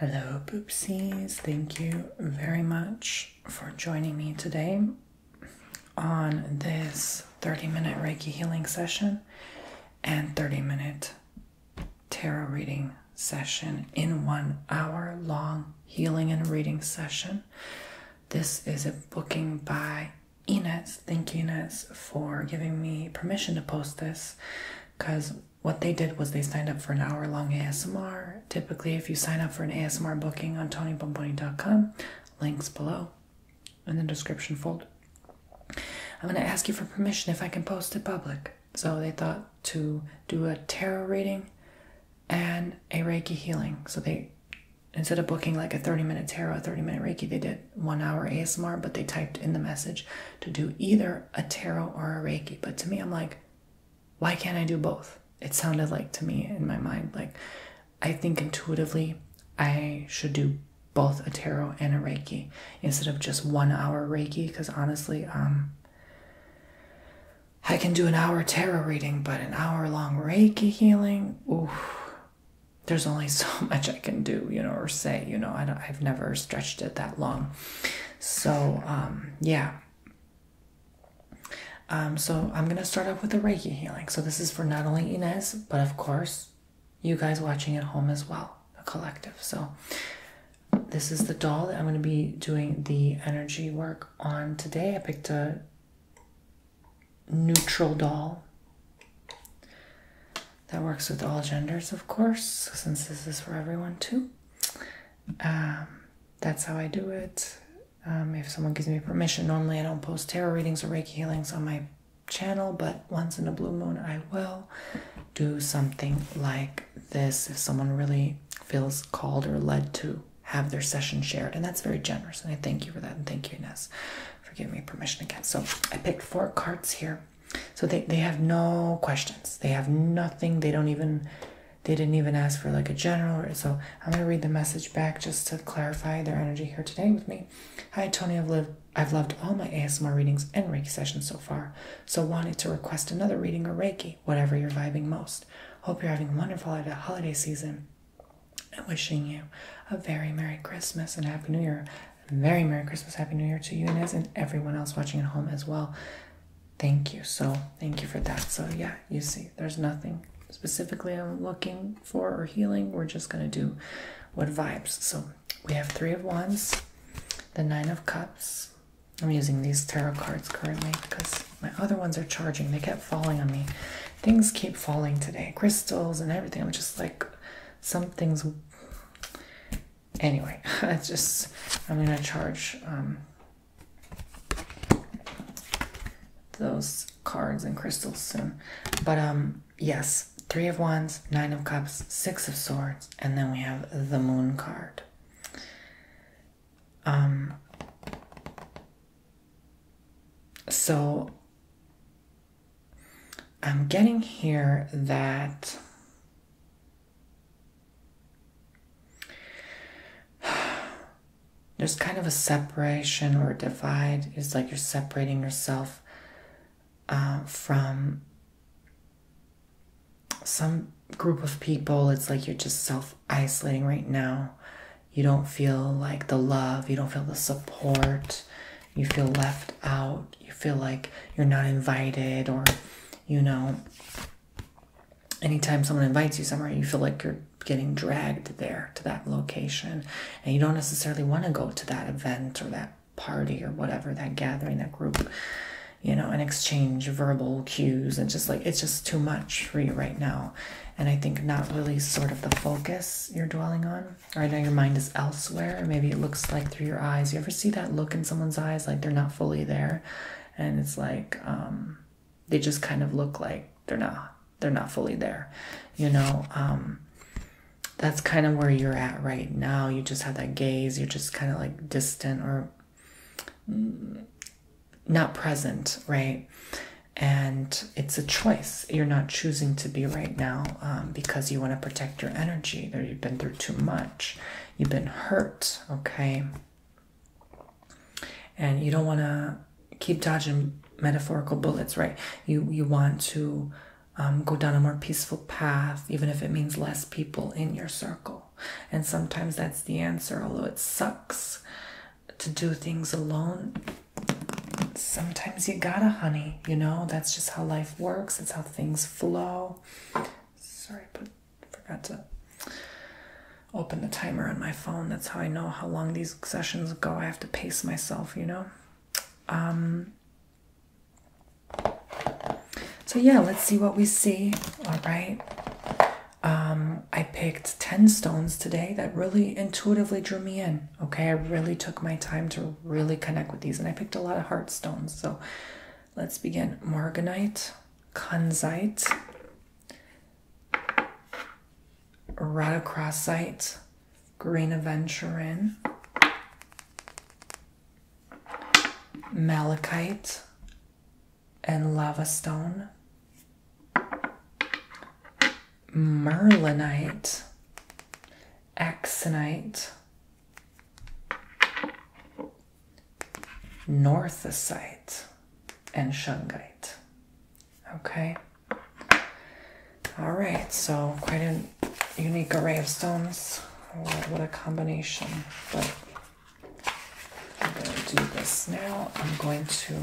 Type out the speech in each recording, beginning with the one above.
Hello, poopsies. Thank you very much for joining me today on this 30 minute Reiki healing session and 30 minute tarot reading session in one hour long healing and reading session. This is a booking by Ines thank Eunice for giving me permission to post this because what they did was they signed up for an hour long ASMR. Typically, if you sign up for an ASMR booking on TonyBomboni.com, links below in the description fold. I'm going to ask you for permission if I can post it public. So they thought to do a tarot reading and a Reiki healing. So they, instead of booking like a 30 minute tarot, a 30 minute Reiki, they did one hour ASMR, but they typed in the message to do either a tarot or a Reiki. But to me, I'm like, why can't I do both? It sounded like to me in my mind, like I think intuitively I should do both a tarot and a Reiki instead of just one hour Reiki. Because honestly, um, I can do an hour tarot reading, but an hour long Reiki healing, oof, there's only so much I can do, you know, or say, you know, I don't, I've never stretched it that long. So, um, yeah. Um, so I'm going to start off with a Reiki healing. So this is for not only Inez, but of course, you guys watching at home as well, the collective. So this is the doll that I'm going to be doing the energy work on today. I picked a neutral doll. That works with all genders, of course, since this is for everyone too. Um, that's how I do it. Um, if someone gives me permission, normally I don't post tarot readings or Reiki healings on my channel, but once in a blue moon, I will do something like this if someone really feels called or led to have their session shared. And that's very generous. And I thank you for that. And thank you, Ines, for giving me permission again. So I picked four cards here so they, they have no questions. They have nothing. They don't even, they didn't even ask for like a general. So I'm going to read the message back just to clarify their energy here today with me. Hi, Tony. I've lived. I've loved all my ASMR readings and Reiki sessions so far, so wanted to request another reading or Reiki, whatever you're vibing most. Hope you're having a wonderful holiday season. And wishing you a very Merry Christmas and Happy New Year. Very Merry Christmas, Happy New Year to you, Inez, and everyone else watching at home as well. Thank you. So, thank you for that. So, yeah, you see, there's nothing specifically I'm looking for or healing. We're just going to do what vibes. So, we have Three of Wands, the Nine of Cups. I'm using these tarot cards currently because my other ones are charging. They kept falling on me. Things keep falling today. Crystals and everything. I'm just like, something's anyway, it's just, I'm going to charge um, those cards and crystals soon. But um, yes, Three of Wands, Nine of Cups, Six of Swords, and then we have the Moon card. Um, so I'm getting here that there's kind of a separation or divide. It's like you're separating yourself uh, from some group of people. It's like you're just self isolating right now. You don't feel like the love, you don't feel the support, you feel left out, you feel like you're not invited, or you know, anytime someone invites you somewhere, you feel like you're getting dragged there to that location, and you don't necessarily want to go to that event or that party or whatever, that gathering, that group, you know, and exchange verbal cues and just like it's just too much for you right now. And I think not really sort of the focus you're dwelling on. Right now, your mind is elsewhere, maybe it looks like through your eyes. You ever see that look in someone's eyes like they're not fully there? And it's like um, they just kind of look like they're not they're not fully there. You know, um, that's kind of where you're at right now. You just have that gaze, you're just kind of like distant or not present, right? And it's a choice. You're not choosing to be right now um, because you want to protect your energy there you've been through too much you've been hurt okay and you don't want to keep dodging metaphorical bullets right you you want to um, go down a more peaceful path even if it means less people in your circle and sometimes that's the answer although it sucks to do things alone sometimes you gotta honey you know that's just how life works it's how things flow. Sorry, I forgot to open the timer on my phone. That's how I know how long these sessions go. I have to pace myself, you know. Um, so yeah, let's see what we see. All right. Um, I picked 10 stones today that really intuitively drew me in. Okay, I really took my time to really connect with these, and I picked a lot of heart stones. So let's begin. morganite, Marganite, kanzite, green aventurine, malachite, and lava stone, merlinite, axonite, northesite and shungite. Okay. All right, so quite a unique array of stones. what a combination. But I'm going to do this now. I'm going to,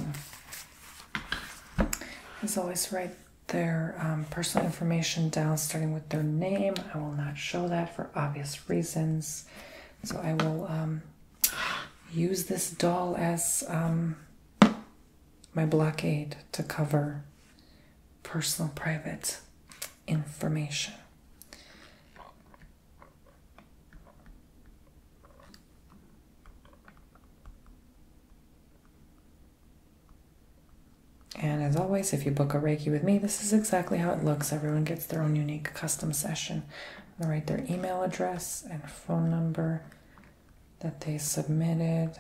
as always, write their um, personal information down, starting with their name. I will not show that for obvious reasons. So I will um, use this doll as um, my blockade to cover personal private information. And as always, if you book a Reiki with me, this is exactly how it looks. Everyone gets their own unique custom session. I write their email address and phone number that they submitted.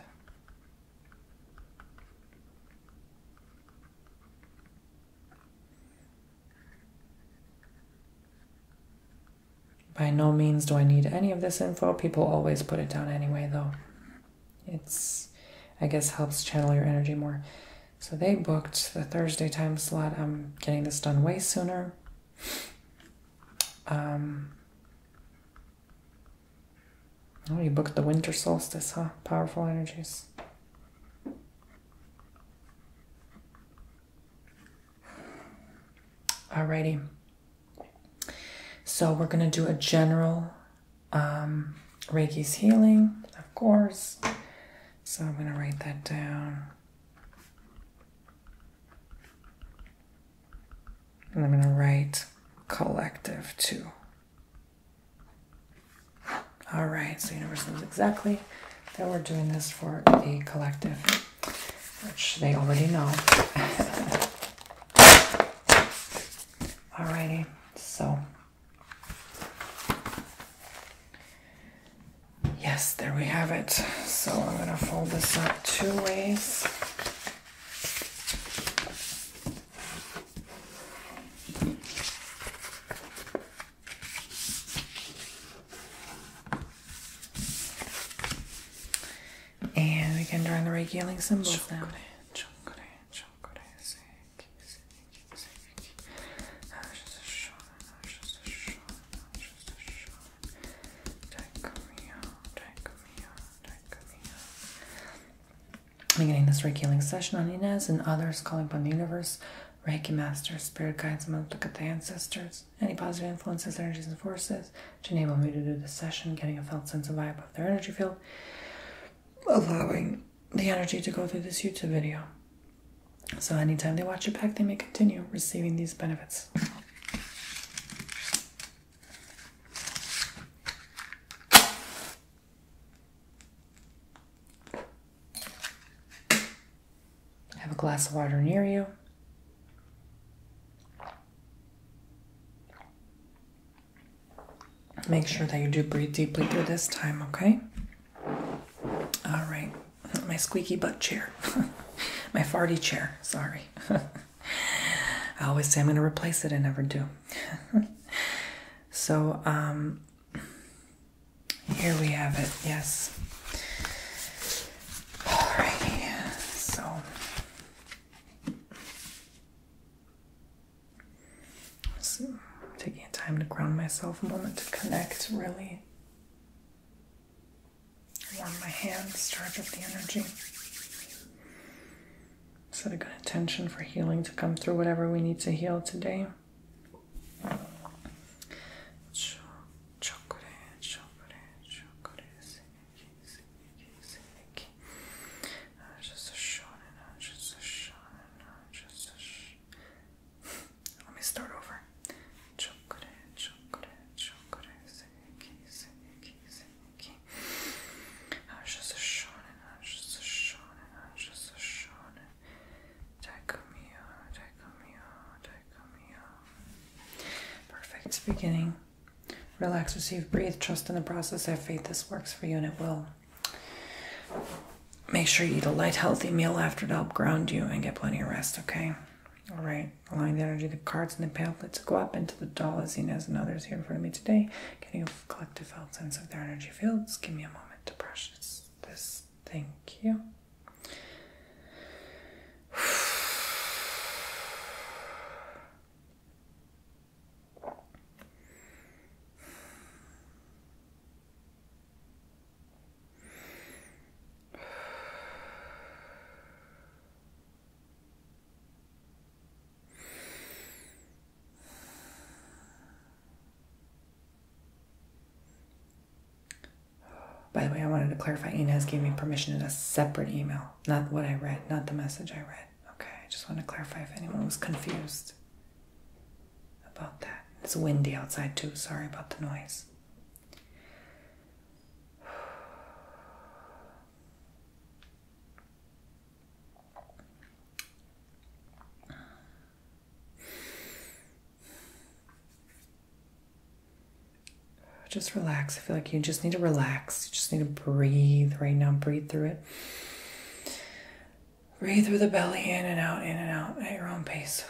By no means do I need any of this info. People always put it down anyway, though it's I guess helps channel your energy more. So they booked the Thursday time slot. I'm getting this done way sooner. Um, oh, you booked the winter solstice, huh? Powerful energies. Alrighty. So we're gonna do a general um, Reiki's healing, of course. So I'm going to write that down. And I'm going to write collective too. All right, so universe knows exactly that we're doing this for the collective, which they already know. All righty. so Yes, there we have it. So I'm going to fold this up two ways. And we can draw the regaling symbols down. I'm Beginning this Reiki healing session on Inez and others calling upon the universe, Reiki masters, spirit guides, and look at the ancestors, any positive influences, energies, and forces to enable me to do this session, getting a felt sense of vibe of their energy field, allowing the energy to go through this YouTube video. So anytime they watch it back, they may continue receiving these benefits. Have a glass of water near you. Make sure that you do breathe deeply through this time, okay? All right, my squeaky butt chair, my farty chair, sorry. I always say I'm going to replace it, I never do. so, um, here we have it, yes. Alrighty, so so, taking time to ground myself, a moment to connect, really. Warm my hands, charge up the energy. Set a good intention for healing to come through whatever we need to heal today just a shonen, just a shonen, just a sh Let me start over. Chokure, chokure, chokure, seiki, seiki, seiki. I'm just a shonen, just a shonen, I'm just a shonen. Taikumiyo, taikumiyo, taikumiyo. Perfect beginning. Relax, receive, breathe, trust in the process, have faith this works for you and it will. Make sure you eat a light, healthy meal after to help ground you and get plenty of rest, okay? All right, allowing the energy, the cards, and the pamphlets to go up into the dolazinas and others here in front of me today, getting a collective felt sense of their energy fields. Give me a moment to process this. Thank you. By the way, I wanted to clarify Inez gave me permission in a separate email, not what I read, not the message I read okay. I just want to clarify if anyone was confused about that. It's windy outside, too. Sorry about the noise. Just relax. I feel like you just need to relax. You just need to breathe right now. Breathe through it. Breathe through the belly, in and out, in and out at your own pace.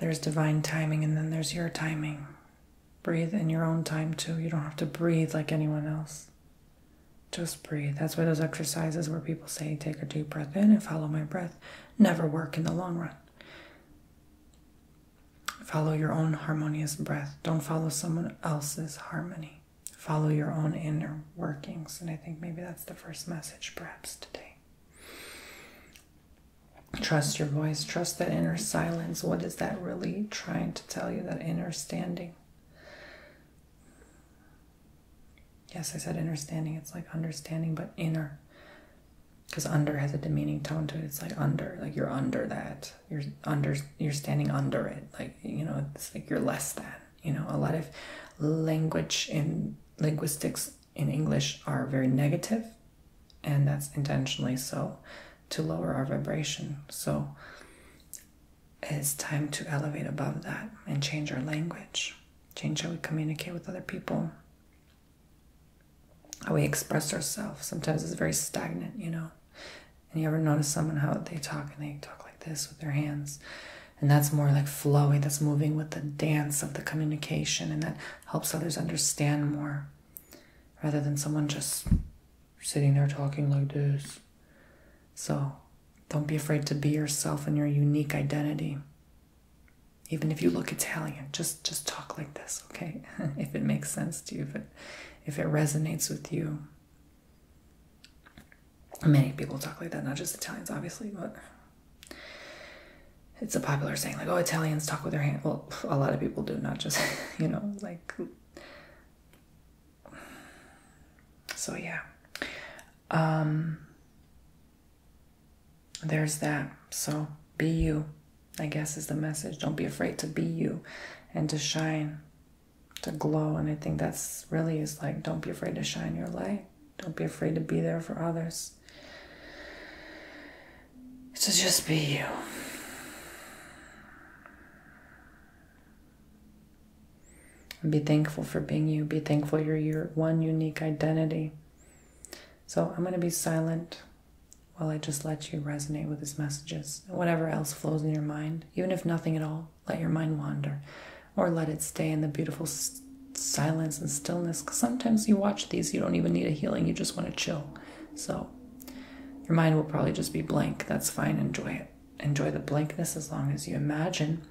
There's divine timing, and then there's your timing. Breathe in your own time, too. You don't have to breathe like anyone else. Just breathe. That's why those exercises where people say, take a deep breath in and follow my breath, never work in the long run. Follow your own harmonious breath. Don't follow someone else's harmony. Follow your own inner workings. And I think maybe that's the first message perhaps today. Trust your voice. Trust that inner silence. What is that really trying to tell you? That inner standing. Yes, I said understanding. It's like understanding, but inner because under has a demeaning tone to it it's like under like you're under that you're under you're standing under it like you know it's like you're less than you know a lot of language in linguistics in english are very negative and that's intentionally so to lower our vibration so it's time to elevate above that and change our language change how we communicate with other people how we express ourselves sometimes is very stagnant, you know. And you ever notice someone how they talk and they talk like this with their hands? And that's more like flowing, that's moving with the dance of the communication, and that helps others understand more rather than someone just sitting there talking like this. So don't be afraid to be yourself and your unique identity. Even if you look Italian, just just talk like this, okay? if it makes sense to you, if it if it resonates with you. Many people talk like that, not just Italians, obviously, but it's a popular saying, like, oh, Italians talk with their hand. Well, a lot of people do, not just, you know, like. So, yeah. Um, there's that. So, be you. I guess is the message. Don't be afraid to be you and to shine, to glow. And I think that's really is like, don't be afraid to shine your light. Don't be afraid to be there for others. To so just be you. be thankful for being you. Be thankful you're your one unique identity. So I'm going to be silent well, I just let you resonate with his messages. Whatever else flows in your mind, even if nothing at all, let your mind wander or let it stay in the beautiful silence and stillness. Because sometimes you watch these, you don't even need a healing, you just want to chill. So your mind will probably just be blank. That's fine. Enjoy it. Enjoy the blankness as long as you imagine.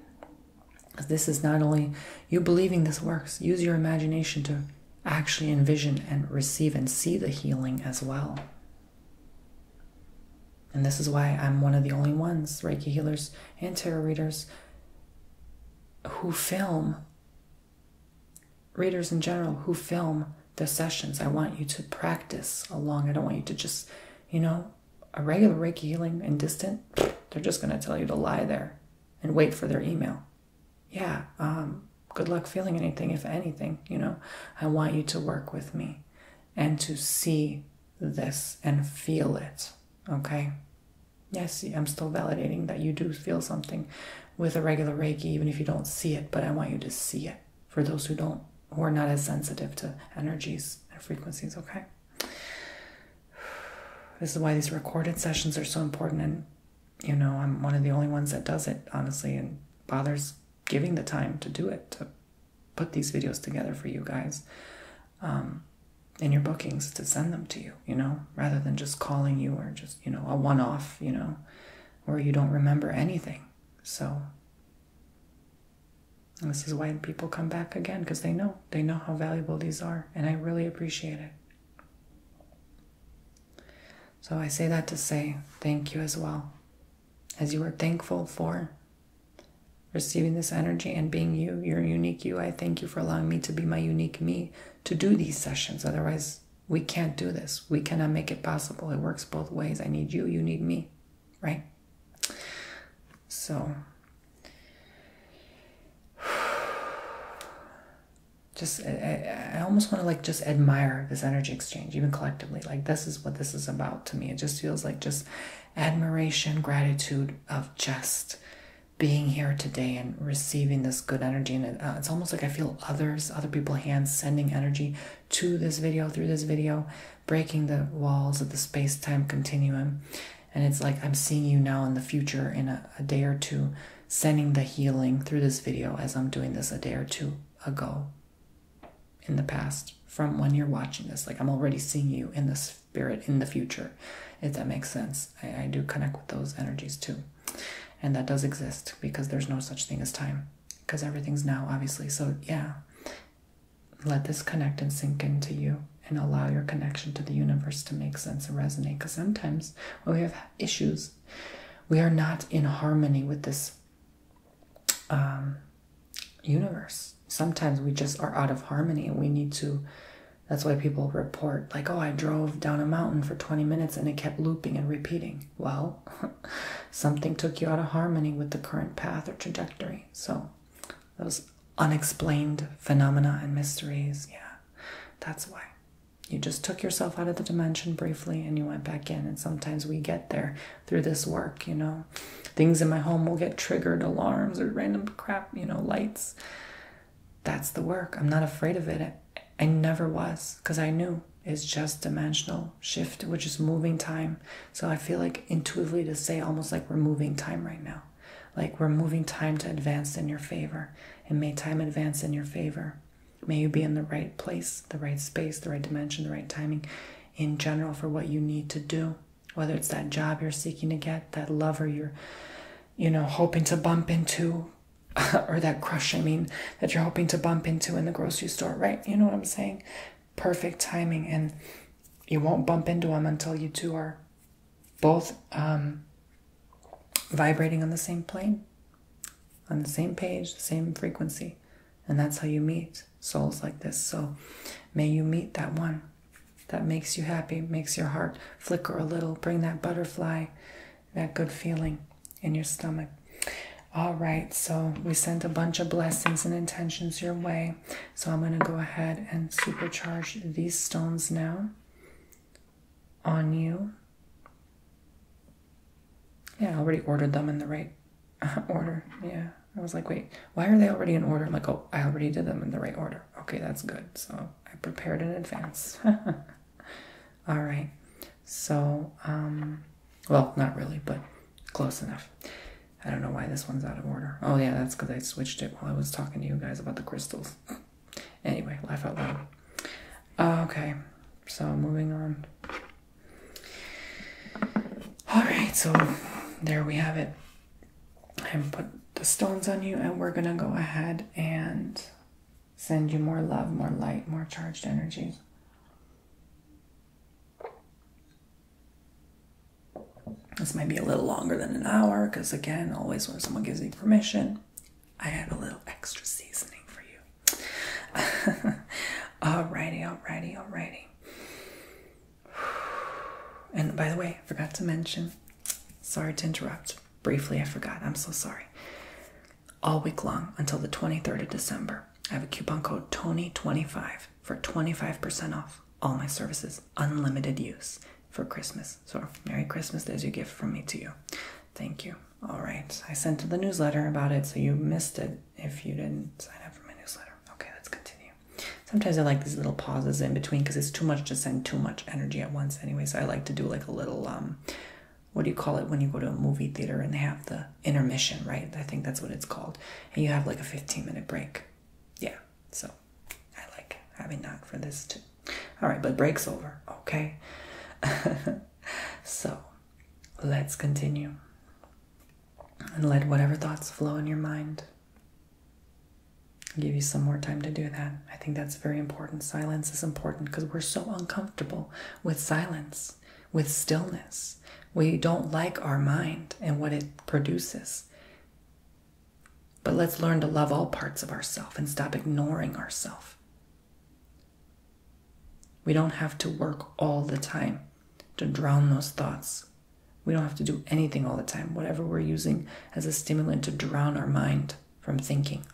This is not only you believing this works, use your imagination to actually envision and receive and see the healing as well. And this is why I'm one of the only ones, Reiki healers and tarot readers, who film, readers in general, who film the sessions. I want you to practice along. I don't want you to just, you know, a regular Reiki healing and distant, they're just going to tell you to lie there and wait for their email yeah, um, good luck feeling anything, if anything, you know. I want you to work with me and to see this and feel it, okay? Yes, I'm still validating that you do feel something with a regular Reiki, even if you don't see it, but I want you to see it for those who don't, who are not as sensitive to energies and frequencies, okay? This is why these recorded sessions are so important you know, I'm one of the only ones that does it, honestly, and bothers giving the time to do it, to put these videos together for you guys um, in your bookings, to send them to you, you know, rather than just calling you or just, you know, a one off, you know, where you don't remember anything. So, this is why people come back again because they know they know how valuable these are, and I really appreciate it. So I say that to say thank you as well, as you are thankful for receiving this energy and being you, your unique you. I thank you for allowing me to be my unique me to do these sessions. Otherwise, we can't do this. We cannot make it possible. It works both ways. I need you, you need me, right? So just I, almost want to like just admire this energy exchange even collectively like this is what this is about to me it just feels like just admiration gratitude of just being here today and receiving this good energy and uh, it's almost like i feel others other people hands sending energy to this video through this video breaking the walls of the space-time continuum and it's like i'm seeing you now in the future in a day or two sending the healing through this video as i'm doing this a day or two ago in the past from when you're watching this. Like I'm already seeing you in the spirit in the future, if that makes sense. I, do connect with those energies too. And that does exist because there's no such thing as time because everything's now, obviously. So, yeah, let this connect and sink into you and allow your connection to the universe to make sense and resonate because sometimes when we have issues we are not in harmony with this um, universe. Sometimes we just are out of harmony we need to. That's why people report, like, oh, I drove down a mountain for 20 minutes and it kept looping and repeating. Well, something took you out of harmony with the current path or trajectory. So, those unexplained phenomena and mysteries, yeah, that's why. You just took yourself out of the dimension briefly and you went back in. And sometimes we get there through this work, you know. Things in my home will get triggered, alarms or random crap, you know, lights. That's the work. I'm not afraid of it. I never was because I knew it's just dimensional shift, which is moving time. So I feel like intuitively to say almost like we're moving time right now. Like we're moving time to advance in your favor and may time advance in your favor. May you be in the right place, the right space, the right dimension, the right timing in general for what you need to do, whether it's that job you're seeking to get, that lover you're, you know, hoping to bump into, or that crush, I mean, that you're hoping to bump into in the grocery store, right? You know what I'm saying? Perfect timing. And you won't bump into them until you two are both um, vibrating on the same plane on the same page, the same frequency. And that's how you meet souls like this. So may you meet that one that makes you happy, makes your heart flicker a little, bring that butterfly, that good feeling in your stomach. All right, so we sent a bunch of blessings and intentions your way. So I'm going to go ahead and supercharge these stones now on you yeah, I already ordered them in the right order. Yeah. I was like, wait, why are they already in order? I'm like, oh, I already did them in the right order. Okay, that's good. So I prepared in advance. All right. So, um, well, not really, but close enough. I don't know why this one's out of order. Oh, yeah, that's because I switched it while I was talking to you guys about the crystals. anyway, laugh out loud. okay. So moving on. Alright, so there we have it. i put the stones on you, and we're gonna go ahead and send you more love, more light, more charged energies. This might be a little longer than an hour because, again, always when someone gives me permission, I have a little extra seasoning for you. alrighty, alrighty, alrighty. And by the way, I forgot to mention, sorry to interrupt. Briefly, I forgot. I'm so sorry. All week long until the 23rd of December, I have a coupon code TONY25 for 25% off all my services, unlimited use for Christmas. So, Merry Christmas. There's your gift from me to you. Thank you. All right, I sent the newsletter about it, so you missed it if you didn't sign up for my newsletter. Okay, let's continue. Sometimes I like these little pauses in between because it's too much to send too much energy at once anyway, so I like to do like a little, um, what do you call it when you go to a movie theater and they have the intermission, right? I think that's what it's called. And you have like a 15 minute break. Yeah, so I like having that for this too. All right, but break's over, okay? so let's continue. And let whatever thoughts flow in your mind. give you some more time to do that. I think that's very important. Silence is important because we're so uncomfortable with silence, with stillness. We don't like our mind and what it produces. But let's learn to love all parts of ourselves and stop ignoring ourselves. We don't have to work all the time to drown those thoughts. We don't have to do anything all the time, whatever we're using as a stimulant to drown our mind from thinking.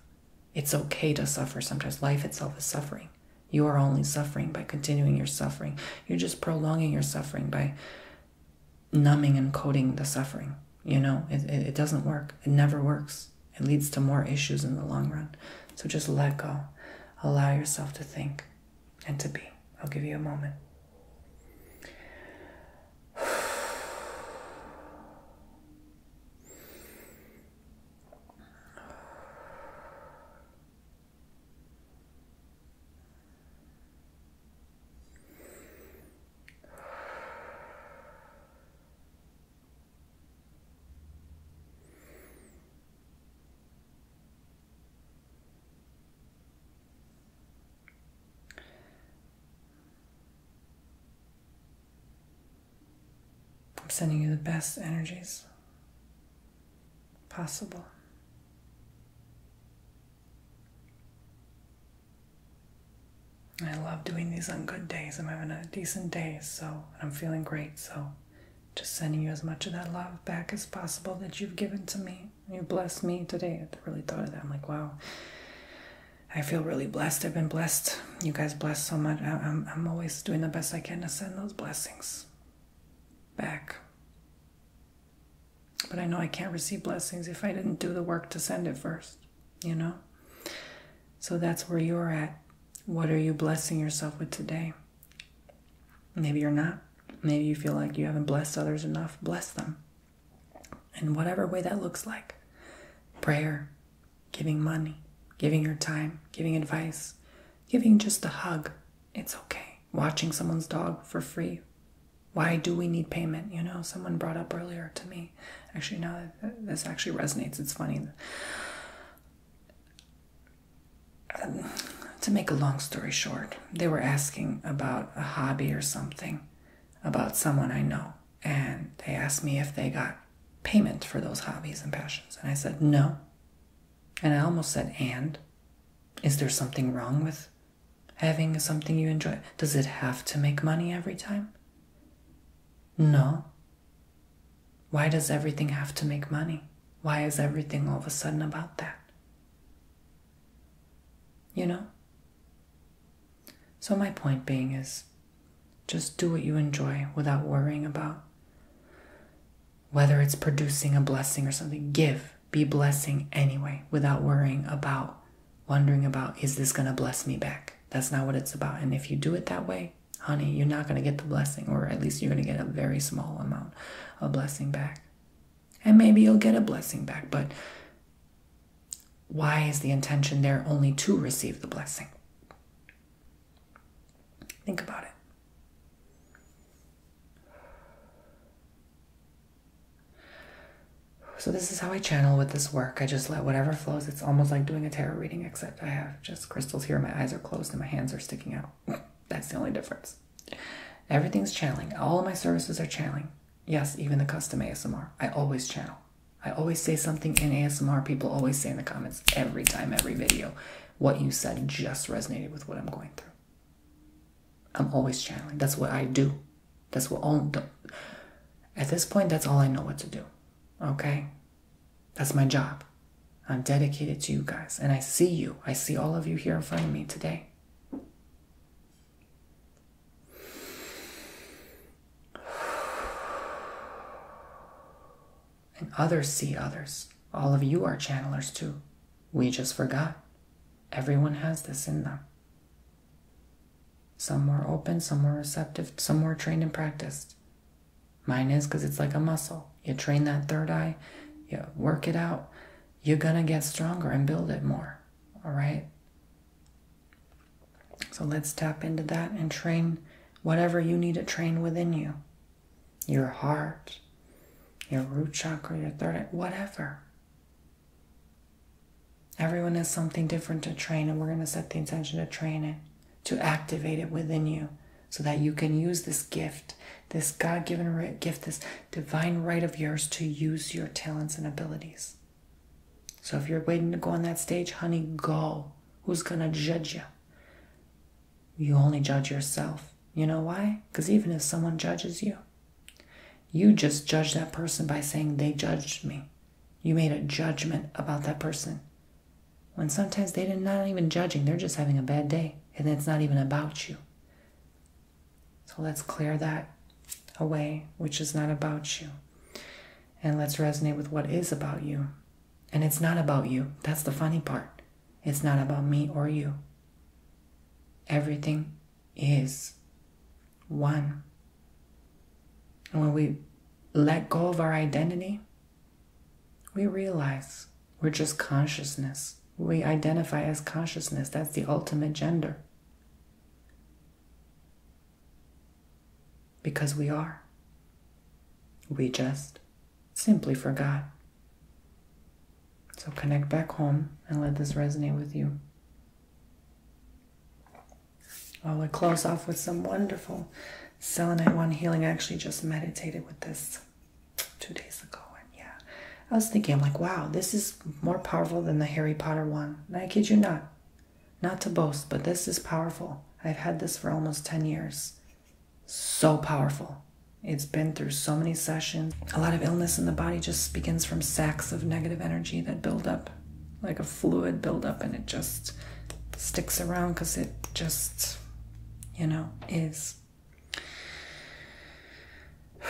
It's okay to suffer sometimes. Life itself is suffering. You are only suffering by continuing your suffering. You're just prolonging your suffering by numbing and coating the suffering. You know, it, doesn't work. It never works. It leads to more issues in the long run. So just let go. Allow yourself to think and to be. I'll give you a moment. I'm sending you the best energies possible. I love doing these on good days. I'm having a decent day, so I'm feeling great, so just sending you as much of that love back as possible that you've given to me. You blessed me today. I really thought of that. I'm like, wow. I feel really blessed. I've been blessed. You guys blessed so much. I'm, I'm always doing the best I can to send those blessings back. But I know I can't receive blessings if I didn't do the work to send it first, you know? So that's where you're at. What are you blessing yourself with today? Maybe you're not. Maybe you feel like you haven't blessed others enough. Bless them. In whatever way that looks like prayer, giving money, giving your time, giving advice, giving just a hug. It's okay. Watching someone's dog for free. Why do we need payment? You know, someone brought up earlier to me. Actually, now this actually resonates. It's funny to make a long story short, they were asking about a hobby or something about someone I know. And they asked me if they got payment for those hobbies and passions. And I said, no. And I almost said, and? Is there something wrong with having something you enjoy? Does it have to make money every time? No. Why does everything have to make money? Why is everything all of a sudden about that? You know? So, my point being is just do what you enjoy without worrying about whether it's producing a blessing or something. Give, be blessing anyway without worrying about, wondering about, is this going to bless me back? That's not what it's about. And if you do it that way, honey, you're not going to get the blessing, or at least you're going to get a very small amount of blessing back. And maybe you'll get a blessing back, but why is the intention there only to receive the blessing? Think about it. So, this is how I channel with this work. I just let whatever flows. It's almost like doing a tarot reading, except I have just crystals here, my eyes are closed, and my hands are sticking out. That's the only difference. Everything's channeling. All my services are channeling. Yes, even the custom ASMR. I always channel. I always say something in ASMR. People always say in the comments every time, every video, what you said just resonated with what I'm going through. I'm always channeling. That's what I do. That's what all. At this point, that's all I know what to do. Okay? That's my job. I'm dedicated to you guys, and I see you. I see all of you here in front of me today. And others see others. All of you are channelers too. We just forgot. Everyone has this in them. Some more open, some more receptive, some more trained and practiced. Mine is because it's like a muscle. You train that third eye, you work it out, you're going to get stronger and build it more. All right? So let's tap into that and train whatever you need to train within you your heart, your root chakra, your third eye, whatever. Everyone has something different to train, and we're going to set the intention to train it to activate it within you so that you can use this gift, this God given gift, this divine right of yours to use your talents and abilities. So if you're waiting to go on that stage, honey, go. Who's going to judge you? You only judge yourself. You know why? Because even if someone judges you, you just judge that person by saying, They judged me. You made a judgment about that person. When sometimes they're not even judging, they're just having a bad day, and it's not even about you. So let's clear that away, which is not about you. And let's resonate with what is about you. And it's not about you. That's the funny part. It's not about me or you. Everything is one. And when we let go of our identity, we realize we're just consciousness. We identify as consciousness. That's the ultimate gender. Because we are. We just simply forgot. So connect back home and let this resonate with you. I'll close off with some wonderful Selenite One Healing. I actually just meditated with this two days ago. And yeah, I was thinking, I'm like, wow, this is more powerful than the Harry Potter one. And I kid you not. Not to boast, but this is powerful. I've had this for almost 10 years. So powerful. It's been through so many sessions. A lot of illness in the body just begins from sacks of negative energy that build up, like a fluid buildup, and it just sticks around because it just you know, is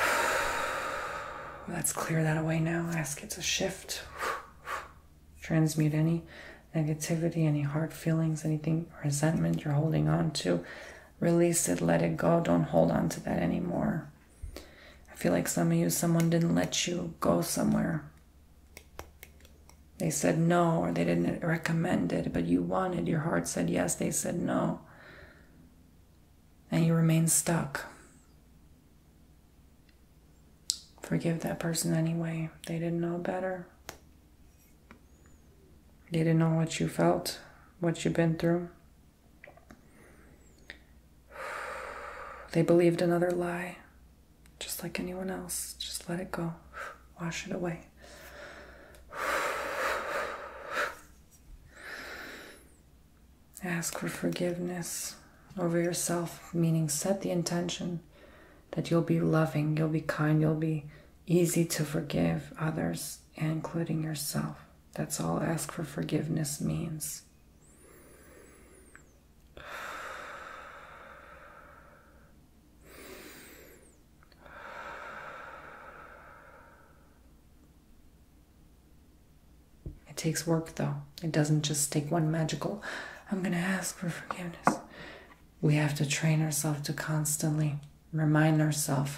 let's clear that away now. Ask it to shift, transmute any negativity, any hard feelings, anything, resentment you're holding on to. Release it, let it go. Don't hold on to that anymore. I feel like some of you, someone didn't let you go somewhere they said no, or they didn't recommend it, but you wanted, your heart said yes, they said no. And you remain stuck. Forgive that person anyway. They didn't know better. They didn't know what you felt, what you've been through. They believed another lie just like anyone else. Just let it go, wash it away. Ask for forgiveness over yourself, meaning set the intention that you'll be loving, you'll be kind, you'll be easy to forgive others, including yourself. That's all ask for forgiveness means. It takes work, though. It doesn't just take one magical, I'm going to ask for forgiveness. We have to train ourselves to constantly remind ourselves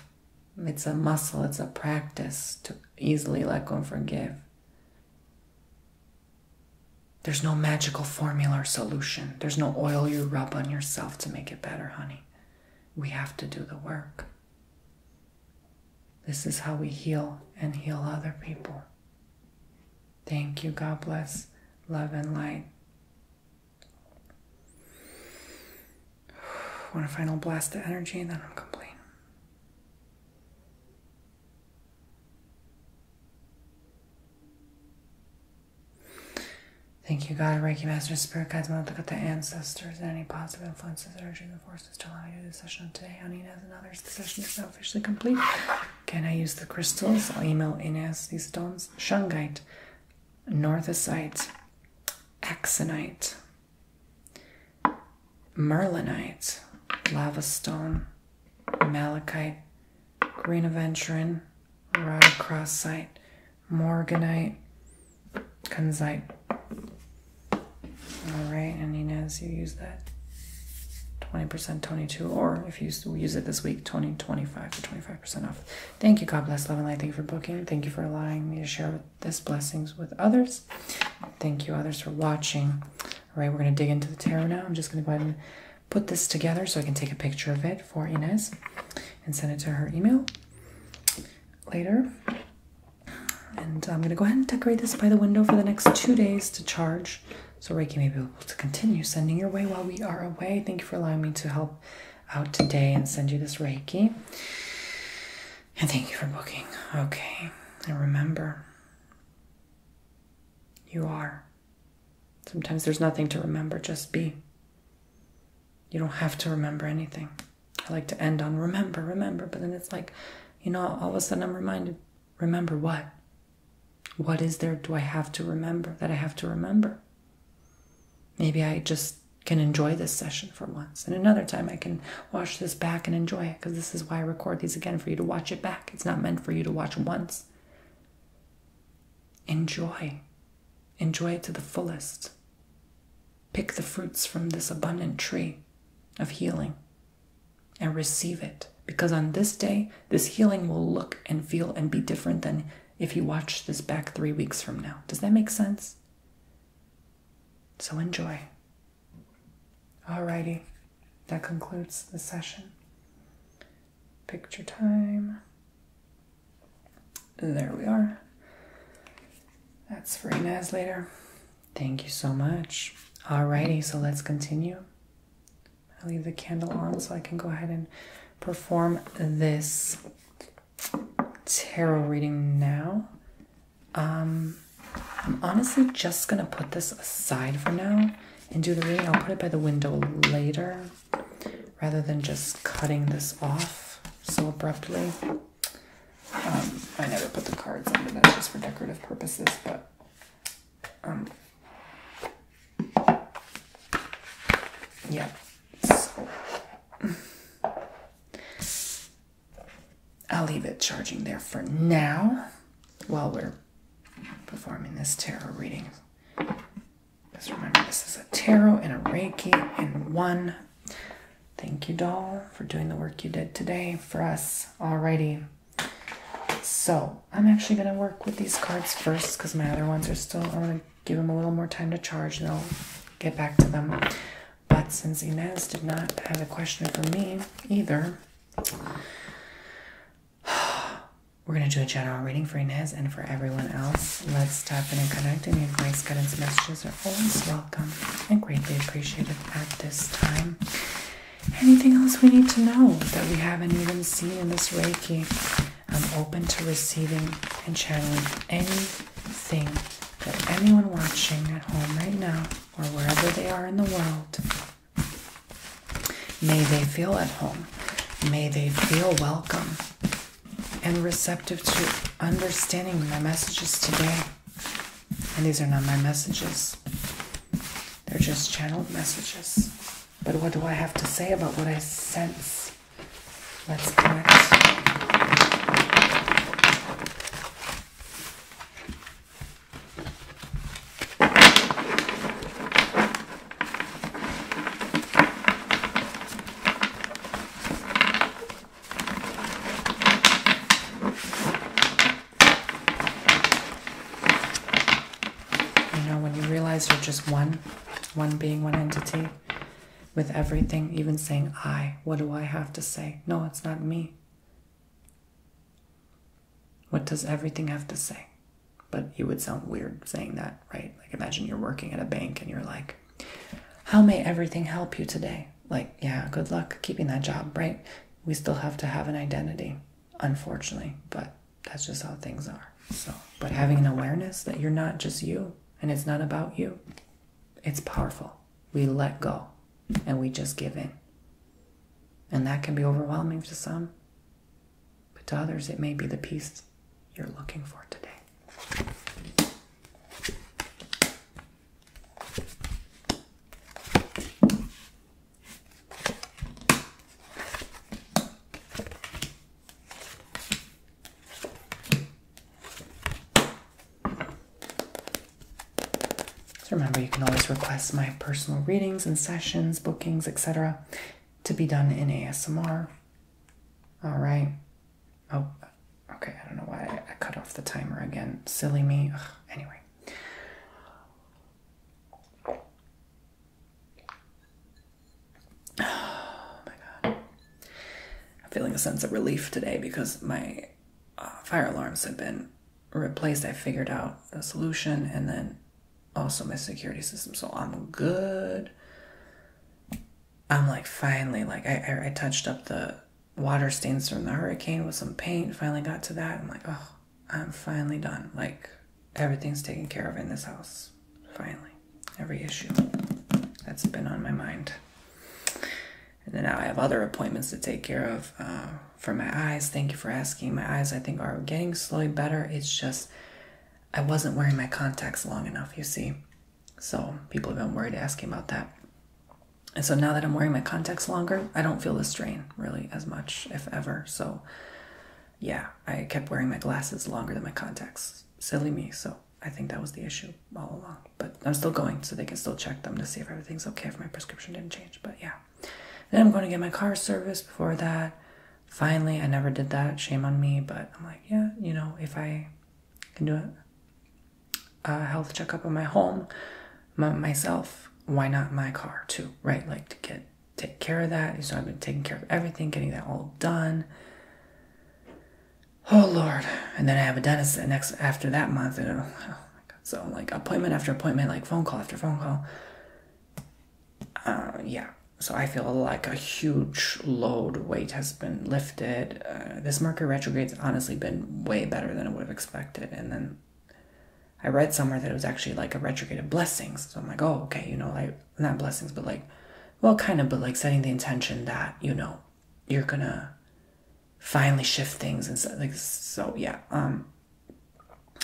it's a muscle, it's a practice to easily let go and forgive. There's no magical formula or solution. There's no oil you rub on yourself to make it better, honey. We have to do the work. This is how we heal and heal other people. Thank you. God bless. Love and light. I want a final blast of energy and then I'm complete. Thank you, God, Reiki Master, Spirit Guides, want to look at the ancestors and any positive influences, energies, and forces to allow me to do this session today on Inez and others. The session is now officially complete. Can I use the crystals? I'll email Inez these stones. Shungite, Northesite, Axonite, Merlinite, Lava Stone, Malachite, aventurine. Rodcrossite, Morganite, Kunzite. Alright, and he knows you use that 20% 22, or if you use it this week, 20, 25 25% off. Thank you. God bless, love, and light. Thank you for booking. Thank you for allowing me to share this blessings with others. Thank you, others, for watching. All right, we're going to dig into the tarot now. I'm just going to go ahead and put this together so I can take a picture of it for Inez and send it to her email later. And I'm gonna go ahead and decorate this by the window for the next two days to charge. So Reiki may be able to continue sending your way while we are away. Thank you for allowing me to help out today and send you this Reiki. And thank you for booking. Okay. And remember, you are Sometimes there's nothing to remember, just be. You don't have to remember anything. I like to end on remember, remember, but then it's like, you know, all of a sudden I'm reminded, remember what? What is there do I have to remember that I have to remember? Maybe I just can enjoy this session for once. And another time I can watch this back and enjoy it because this is why I record these again for you to watch it back. It's not meant for you to watch once. Enjoy. Enjoy it to the fullest. Pick the fruits from this abundant tree of healing and receive it. Because on this day, this healing will look and feel and be different than if you watched this back three weeks from now. Does that make sense? So enjoy. Alrighty, that concludes the session. Picture time. There we are. That's for Inez later. Thank you so much. Alrighty, so let's continue. I leave the candle on so I can go ahead and perform this tarot reading now. Um, I'm honestly just gonna put this aside for now and do the reading. I'll put it by the window later rather than just cutting this off so abruptly. Um, I never put the cards under that just for decorative purposes, but um, yeah. I'll leave it charging there for now while we're performing this tarot reading. Just remember, this is a tarot and a Reiki in one. Thank you, doll, for doing the work you did today for us. Alrighty. So, I'm actually going to work with these cards first because my other ones are still, I am going to give them a little more time to charge and I'll get back to them. But since Inez did not have a question for me either, We're going to do a general reading for Inez and for everyone else. Let's tap in and connect, Any advice, guidance, messages are always welcome and greatly appreciated at this time. Anything else we need to know that we haven't even seen in this Reiki? I'm open to receiving and channeling anything that anyone watching at home right now or wherever they are in the world may they feel at home May they feel welcome and receptive to understanding my messages today. And these are not my messages, they're just channeled messages. But what do I have to say about what I sense? Let's connect. You know, when you realize you're just one, one being one entity with everything, even saying I, what do I have to say? No, it's not me. What does everything have to say? But you would sound weird saying that, right? Like imagine you're working at a bank and you're like, how may everything help you today? Like, yeah, good luck keeping that job, right? We still have to have an identity, unfortunately, but that's just how things are. So, but having an awareness that you're not just you and it's not about you, it's powerful. We let go and we just give in. And that can be overwhelming to some, but to others, it may be the peace you're looking for today. So remember, you can always request my personal readings and sessions, bookings, etc., to be done in ASMR all right. Oh, okay. I don't know why I cut off the timer again. Silly me. anyway. Oh my god. I'm feeling a sense of relief today because my uh, fire alarms have been replaced. I figured out the solution and then also my security system. So I'm good. I'm like finally like I, I touched up the water stains from the hurricane with some paint. Finally got to that. I'm like oh I'm finally done. Like everything's taken care of in this house. Finally, every issue that's been on my mind. And then now I have other appointments to take care of uh, for my eyes. Thank you for asking. My eyes I think are getting slowly better. It's just I wasn't wearing my contacts long enough, you see. So people have been worried asking about that. And so now that I'm wearing my contacts longer, I don't feel the strain really as much, if ever. So yeah, I kept wearing my glasses longer than my contacts. Silly me. So I think that was the issue all along. But I'm still going, so they can still check them to see if everything's okay if my prescription didn't change. But yeah. Then I'm going to get my car serviced before that. Finally, I never did that. Shame on me, but I'm like, yeah, you know, if I can do a health checkup of my home, myself, why not my car too, right? Like to get take care of that. So I've been taking care of everything, getting that all done. Oh Lord! And then I have a dentist next after that month. And oh, oh my God. So like appointment after appointment, like phone call after phone call. Uh, yeah, so I feel like a huge load weight has been lifted. Uh, this Mercury retrograde's honestly been way better than I would have expected. And then I read somewhere that it was actually like a retrograde of blessings. So I'm like, oh, okay, you know, like not blessings, but like, well, kind of, but like setting the intention that you know you're gonna finally shift things and so, like so yeah. Um,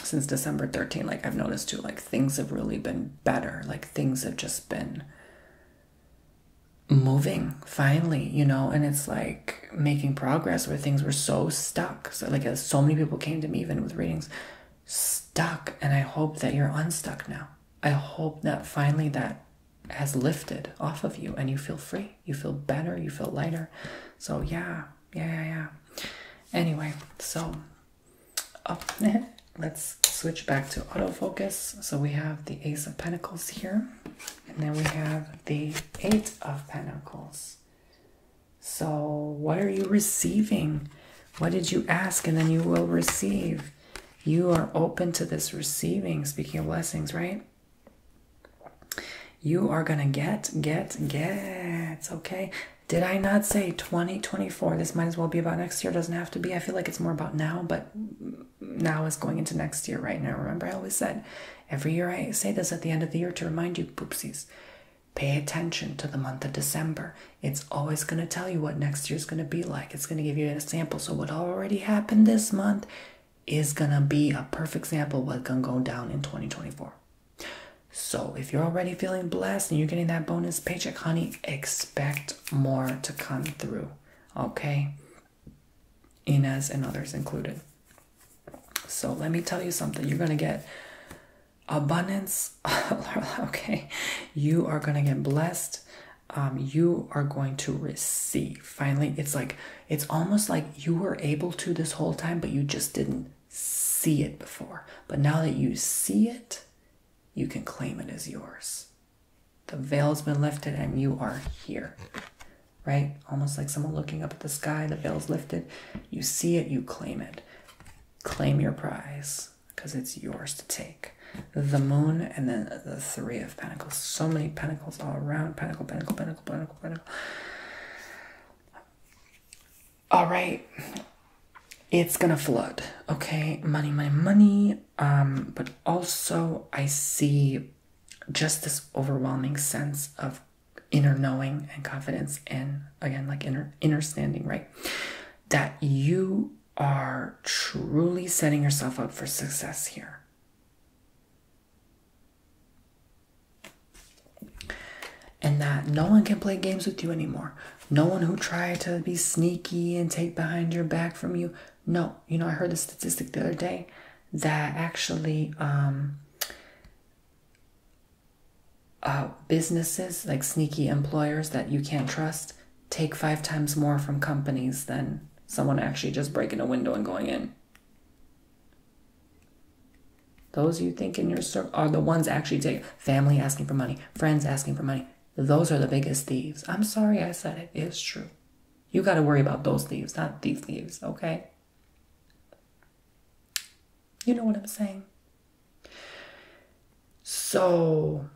since December 13, like I've noticed too, like things have really been better. Like things have just been moving finally, you know, and it's like making progress where things were so stuck. So, like, uh, so many people came to me, even with readings, stuck. And I hope that you're unstuck now. I hope that finally that has lifted off of you and you feel free. You feel better. You feel lighter. So, yeah, yeah, yeah. Anyway, so Oh, let's switch back to autofocus. So we have the Ace of Pentacles here, and then we have the Eight of Pentacles. So, what are you receiving? What did you ask? And then you will receive. You are open to this receiving. Speaking of blessings, right? You are going to get, get, get. Okay. Did I not say 2024? This might as well be about next year. doesn't have to be. I feel like it's more about now, but now is going into next year right now. Remember, I always said every year I say this at the end of the year to remind you, poopsies, pay attention to the month of December. It's always going to tell you what next year's going to be like. It's going to give you a sample. So, what already happened this month is going to be a perfect sample what's going to go down in 2024. So, if you're already feeling blessed and you're getting that bonus paycheck, honey, expect more to come through, okay? Inez and others included. So let me tell you something. You're going to get abundance, okay? You are going to get blessed. Um, you are going to receive. Finally, it's like, it's almost like you were able to this whole time, but you just didn't see it before. But now that you see it, you can claim it as yours. The veil's been lifted and you are here. Right? Almost like someone looking up at the sky, the veil's lifted. You see it, you claim it. Claim your prize because it's yours to take. The moon and then the three of pentacles. So many pentacles all around. Pentacle, pentacle, pentacle, pentacle, pentacle. All right, it's gonna flood okay money money money um but also i see just this overwhelming sense of inner knowing and confidence and again like inner inner standing right that you are truly setting yourself up for success here and that no one can play games with you anymore no one who tried to be sneaky and take behind your back from you. No, you know, I heard a statistic the other day that actually um, uh, businesses, like sneaky employers that you can't trust, take five times more from companies than someone actually just breaking a window and going in. Those you think in your circle are the ones actually take family asking for money, friends asking for money, those are the biggest thieves. I'm sorry I said it. It's true. You got to worry about those thieves, not these thieves, okay? You know what I'm saying? So,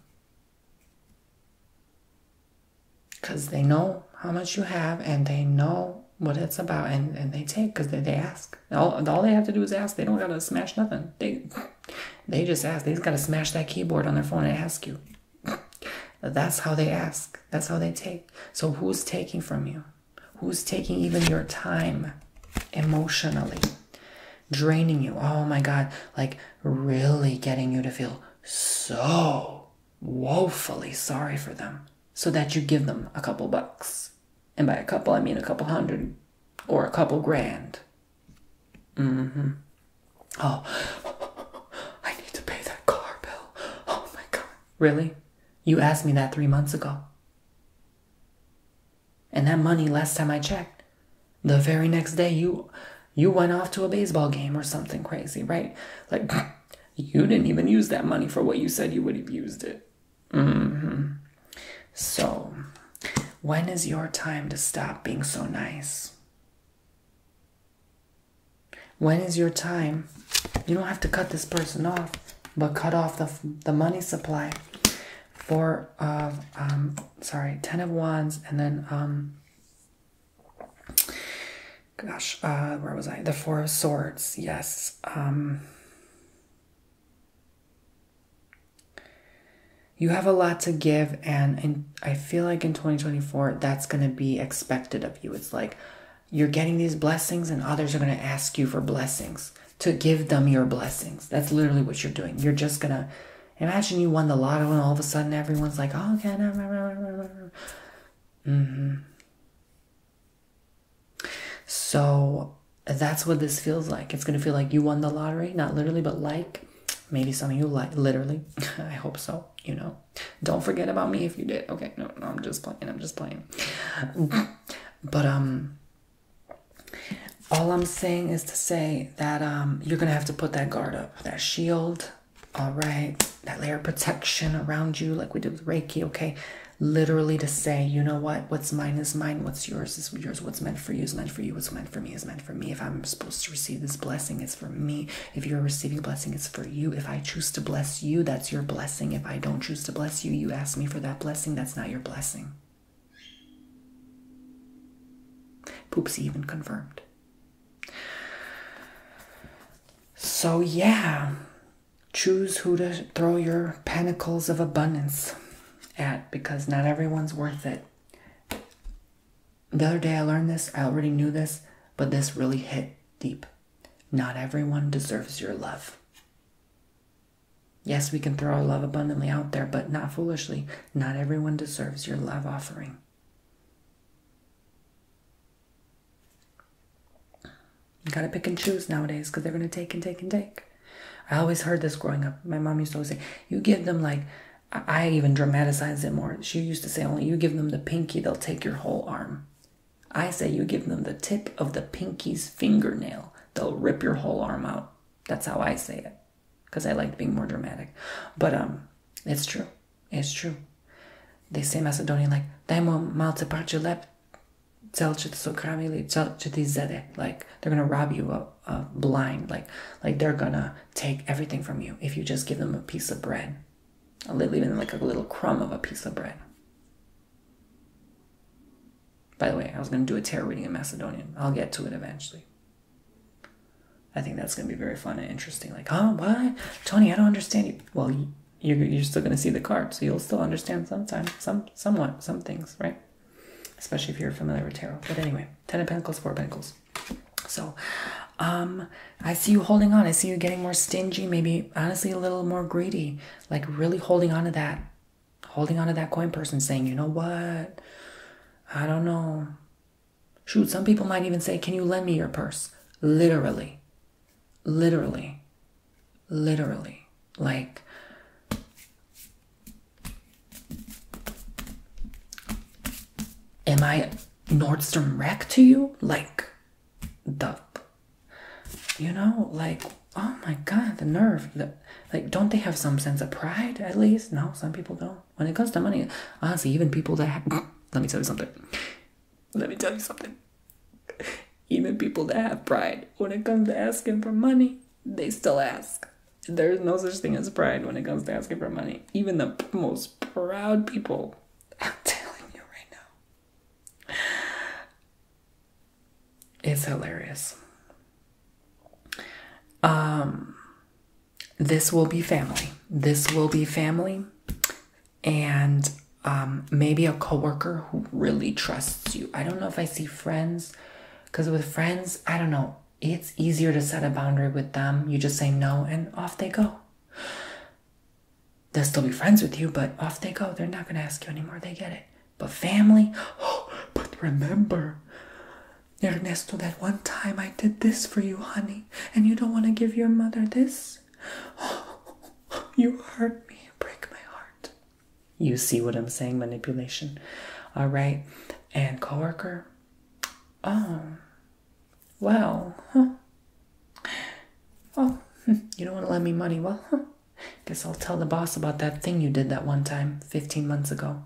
because they know how much you have and they know what it's about and, and they take because they, they ask. All, all they have to do is ask. They don't got to smash nothing. They, they just ask. They just gotta smash that keyboard on their phone and ask you. That's how they ask. That's how they take. So who's taking from you? Who's taking even your time emotionally? Draining you. Oh my god. Like really getting you to feel so woefully sorry for them. So that you give them a couple bucks. And by a couple I mean a couple hundred or a couple grand Mm-hmm. Oh, I need to pay that car bill. Oh my god. Really? You asked me that three months ago. And that money last time I checked, the very next day you you went off to a baseball game or something crazy, right? Like you didn't even use that money for what you said you would have used it. Mm-hmm. So when is your time to stop being so nice? When is your time? You don't have to cut this person off, but cut off the, the money supply. Four of, uh, um, sorry, Ten of Wands, and then, um, gosh, uh, where was I? The Four of Swords, yes. Um, you have a lot to give, and, I feel like in 2024, that's going to be expected of you. It's like you're getting these blessings, and others are going to ask you for blessings to give them your blessings. That's literally what you're doing. You're just going to imagine you won the lottery, and all of a sudden, everyone's like, oh, okay. Mm-hmm. So that's what this feels like. It's going to feel like you won the lottery, not literally, but like Maybe some of you like literally. I hope so. You know, don't forget about me if you did. Okay, no, no, I'm just playing. I'm just playing. but um, all I'm saying is to say that um, you're gonna have to put that guard up, that shield. All right, that layer of protection around you, like we did with Reiki. Okay, literally to say, you know what? What's mine is mine. What's yours is yours. What's meant for you is meant for you. What's meant for me is meant for me. If I'm supposed to receive this blessing, it's for me. If you're receiving blessing, it's for you. If I choose to bless you, that's your blessing. If I don't choose to bless you, you ask me for that blessing, that's not your blessing. Poopsie even confirmed. So, yeah, choose who to throw your pentacles of abundance at because not everyone's worth it. The other day I learned this, I already knew this, but this really hit deep. Not everyone deserves your love. Yes, we can throw our love abundantly out there, but not foolishly. Not everyone deserves your love offering. You gotta pick and choose nowadays because they're gonna take and take and take. I always heard this growing up. My mom used to say, You give them like I even dramatized it more. She used to say, only you give them the pinky, they'll take your whole arm. I say, you give them the tip of the pinky's fingernail, they'll rip your whole arm out. That's how I say it because I like being more dramatic. But um, it's true. It's true. They say Macedonian like, Dajmo malte parče lep, cel će sokramili, cel će ti Like, they're going to rob you of uh, blind like like they're gonna take everything from you if you just give them a piece of bread a little even like a little crumb of a piece of bread by the way i was gonna do a tarot reading in macedonian i'll get to it eventually i think that's gonna be very fun and interesting like oh what tony i don't understand you well you're, you're still gonna see the card so you'll still understand sometime some somewhat some things right especially if you're familiar with tarot. But anyway, Ten of Pentacles, Four Pentacles. So, um, I see you holding on. I see you getting more stingy, maybe honestly a little more greedy, like really holding on to that, holding on to that coin person saying, you know what? I don't know. Shoot, some people might even say, can you lend me your purse? Literally, literally, literally. Like, Am I Nordstrom wreck to you? Like, the, you know, like, oh my god, the nerve. like, don't they have some sense of pride at least? No, some people don't. When it comes to money, honestly, even people that have, let me tell you something. Let me tell you something. Even people that have pride, when it comes to asking for money, they still ask. There's no such thing as pride when it comes to asking for money. Even the most proud people, I'm telling you right now, it's hilarious. Um, this will be family. This will be family, and um, maybe a coworker who really trusts you. I don't know if I see friends, because with friends, I don't know it's easier to set a boundary with them. You just say no and off they go. They'll still be friends with you, but off they go. They're not going to ask you anymore. They get it. But family, oh, but remember, Ernesto, that one time I did this for you, honey, and you don't want to give your mother this? Oh, you hurt me. Break my heart. You see what I'm saying? Manipulation. All right. And coworker, Oh, well, Oh, hmm. you don't want to lend me money. Well, Guess I'll tell the boss about that thing you did that one time 15 months ago.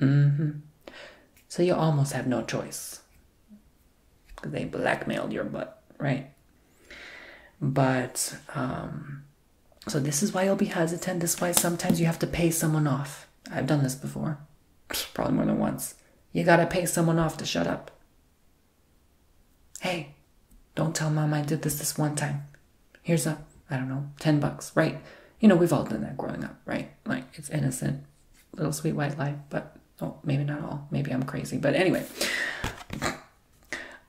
Mm hmm. So you almost have no choice. they blackmailed your butt, right? But, um, so this is why you'll be hesitant. This is why sometimes you have to pay someone off. I've done this before. Probably more than once. You gotta pay someone off to shut up. Hey, don't tell mom I did this this one time. Here's a, I don't know, 10 bucks, right? You know, we've all done that growing up, right? Like, it's innocent, little sweet white lie. but, oh, maybe not all. Maybe I'm crazy, but anyway.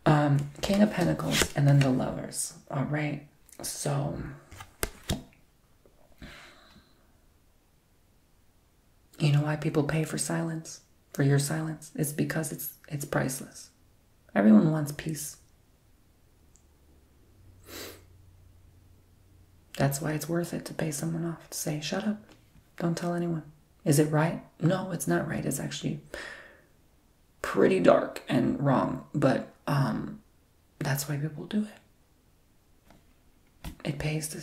Um, King of Pentacles and then the Lovers, all right? So, you know why people pay for silence? For your silence? It's because it's it's priceless. Everyone wants peace. That's why it's worth it to pay someone off to say, shut up, don't tell anyone. Is it right? No, it's not right. It's actually pretty dark and wrong, but um, that's why people do it. It pays to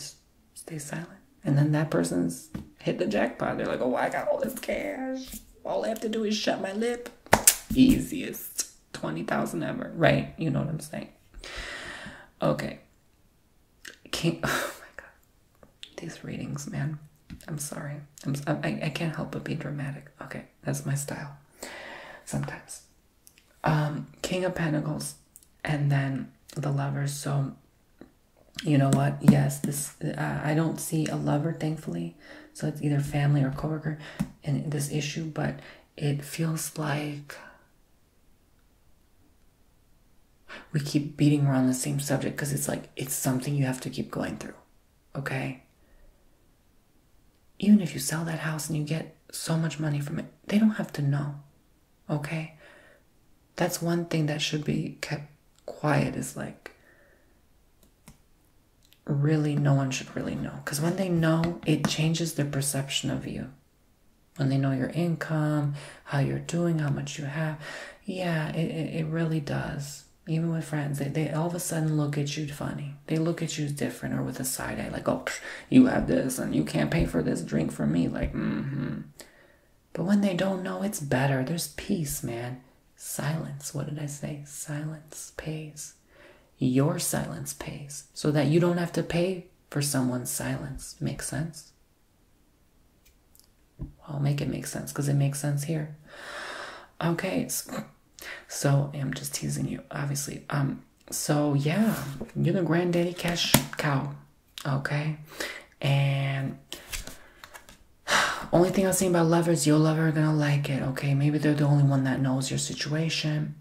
stay silent. And then that person's hit the jackpot. They're like, oh, I got all this cash. All I have to do is shut my lip. Easiest. 20,000 ever, right? You know what I'm saying? Okay. Can't. oh my God. These readings, man. I'm sorry. I'm, I can't help but be dramatic. Okay, that's my style. Sometimes um, King of Pentacles, and then the lovers. So, you know what? Yes, this uh, I don't see a lover, thankfully. So it's either family or coworker in this issue, but it feels like we keep beating around the same subject because it's like it's something you have to keep going through. Okay even if you sell that house and you get so much money from it, they don't have to know. Okay? That's one thing that should be kept quiet is like really no one should really know because when they know it changes their perception of you when they know your income how you're doing how much you have yeah it, it, really does even with friends they, they all of a sudden look at you funny they look at you different or with a side eye, like, oh, you have this and you can't pay for this drink for me. Like, mm hmm. But when they don't know, it's better. There's peace, man. Silence. What did I say? Silence pays. Your silence pays so that you don't have to pay for someone's silence. Makes sense? I'll make it make sense because it makes sense here. Okay, so, so I'm just teasing you, obviously. Um, so yeah, you're the granddaddy cash cow, okay? And only thing I've seen about lovers, your lover are gonna like it, okay? Maybe they're the only one that knows your situation.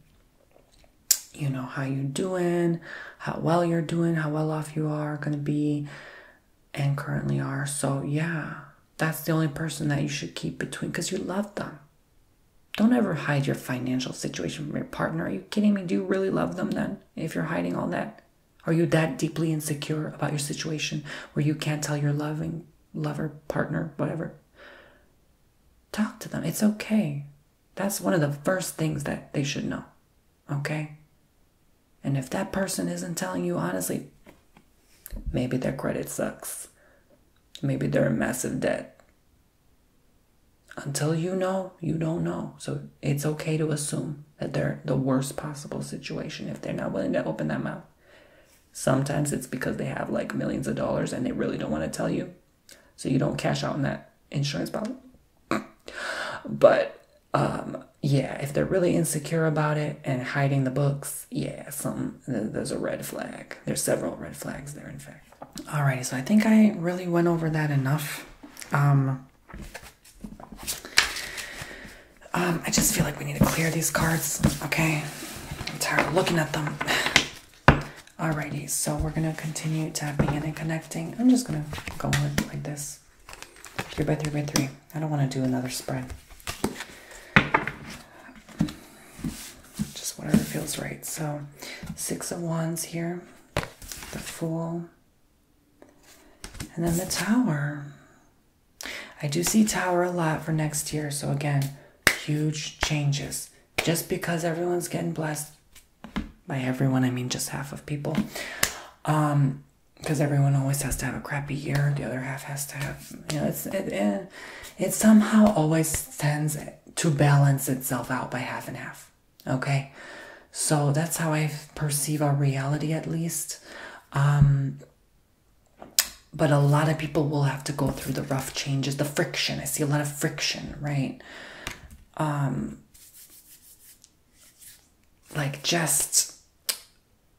You know how you're doing, how well you're doing, how well off you are gonna be, and currently are. So yeah, that's the only person that you should keep between because you love them. Don't ever hide your financial situation from your partner. Are you kidding me? Do you really love them then if you're hiding all that? Are you that deeply insecure about your situation where you can't tell your loving lover, partner, whatever? Talk to them. It's okay. That's one of the first things that they should know. Okay? And if that person isn't telling you honestly, maybe their credit sucks. Maybe they're in massive debt. Until you know, you don't know. So it's okay to assume that they're the worst possible situation if they're not willing to open that mouth. Sometimes it's because they have like millions of dollars and they really don't want to tell you. So you don't cash out on that insurance policy. but um, yeah, if they're really insecure about it and hiding the books, yeah, some there's a red flag. There's several red flags there, in fact. Alrighty, so I think I really went over that enough. Um, um, I just feel like we need to clear these cards, okay? I'm tired of looking at them. Alrighty, so we're gonna continue tapping in and connecting. I'm just gonna go with like this. Three by three by three. I don't wanna do another spread just whatever feels right. So, Six of Wands here, the Fool, and then the Tower. I do see Tower a lot for next year. So, again, huge changes. Just because everyone's getting blessed, by everyone, I mean just half of people. Um, because everyone always has to have a crappy year, the other half has to have, you know, it's it, it, somehow always tends to balance itself out by half and half. Okay, so that's how I perceive our reality at least. Um, but a lot of people will have to go through the rough changes, the friction. I see a lot of friction, right? Um, like just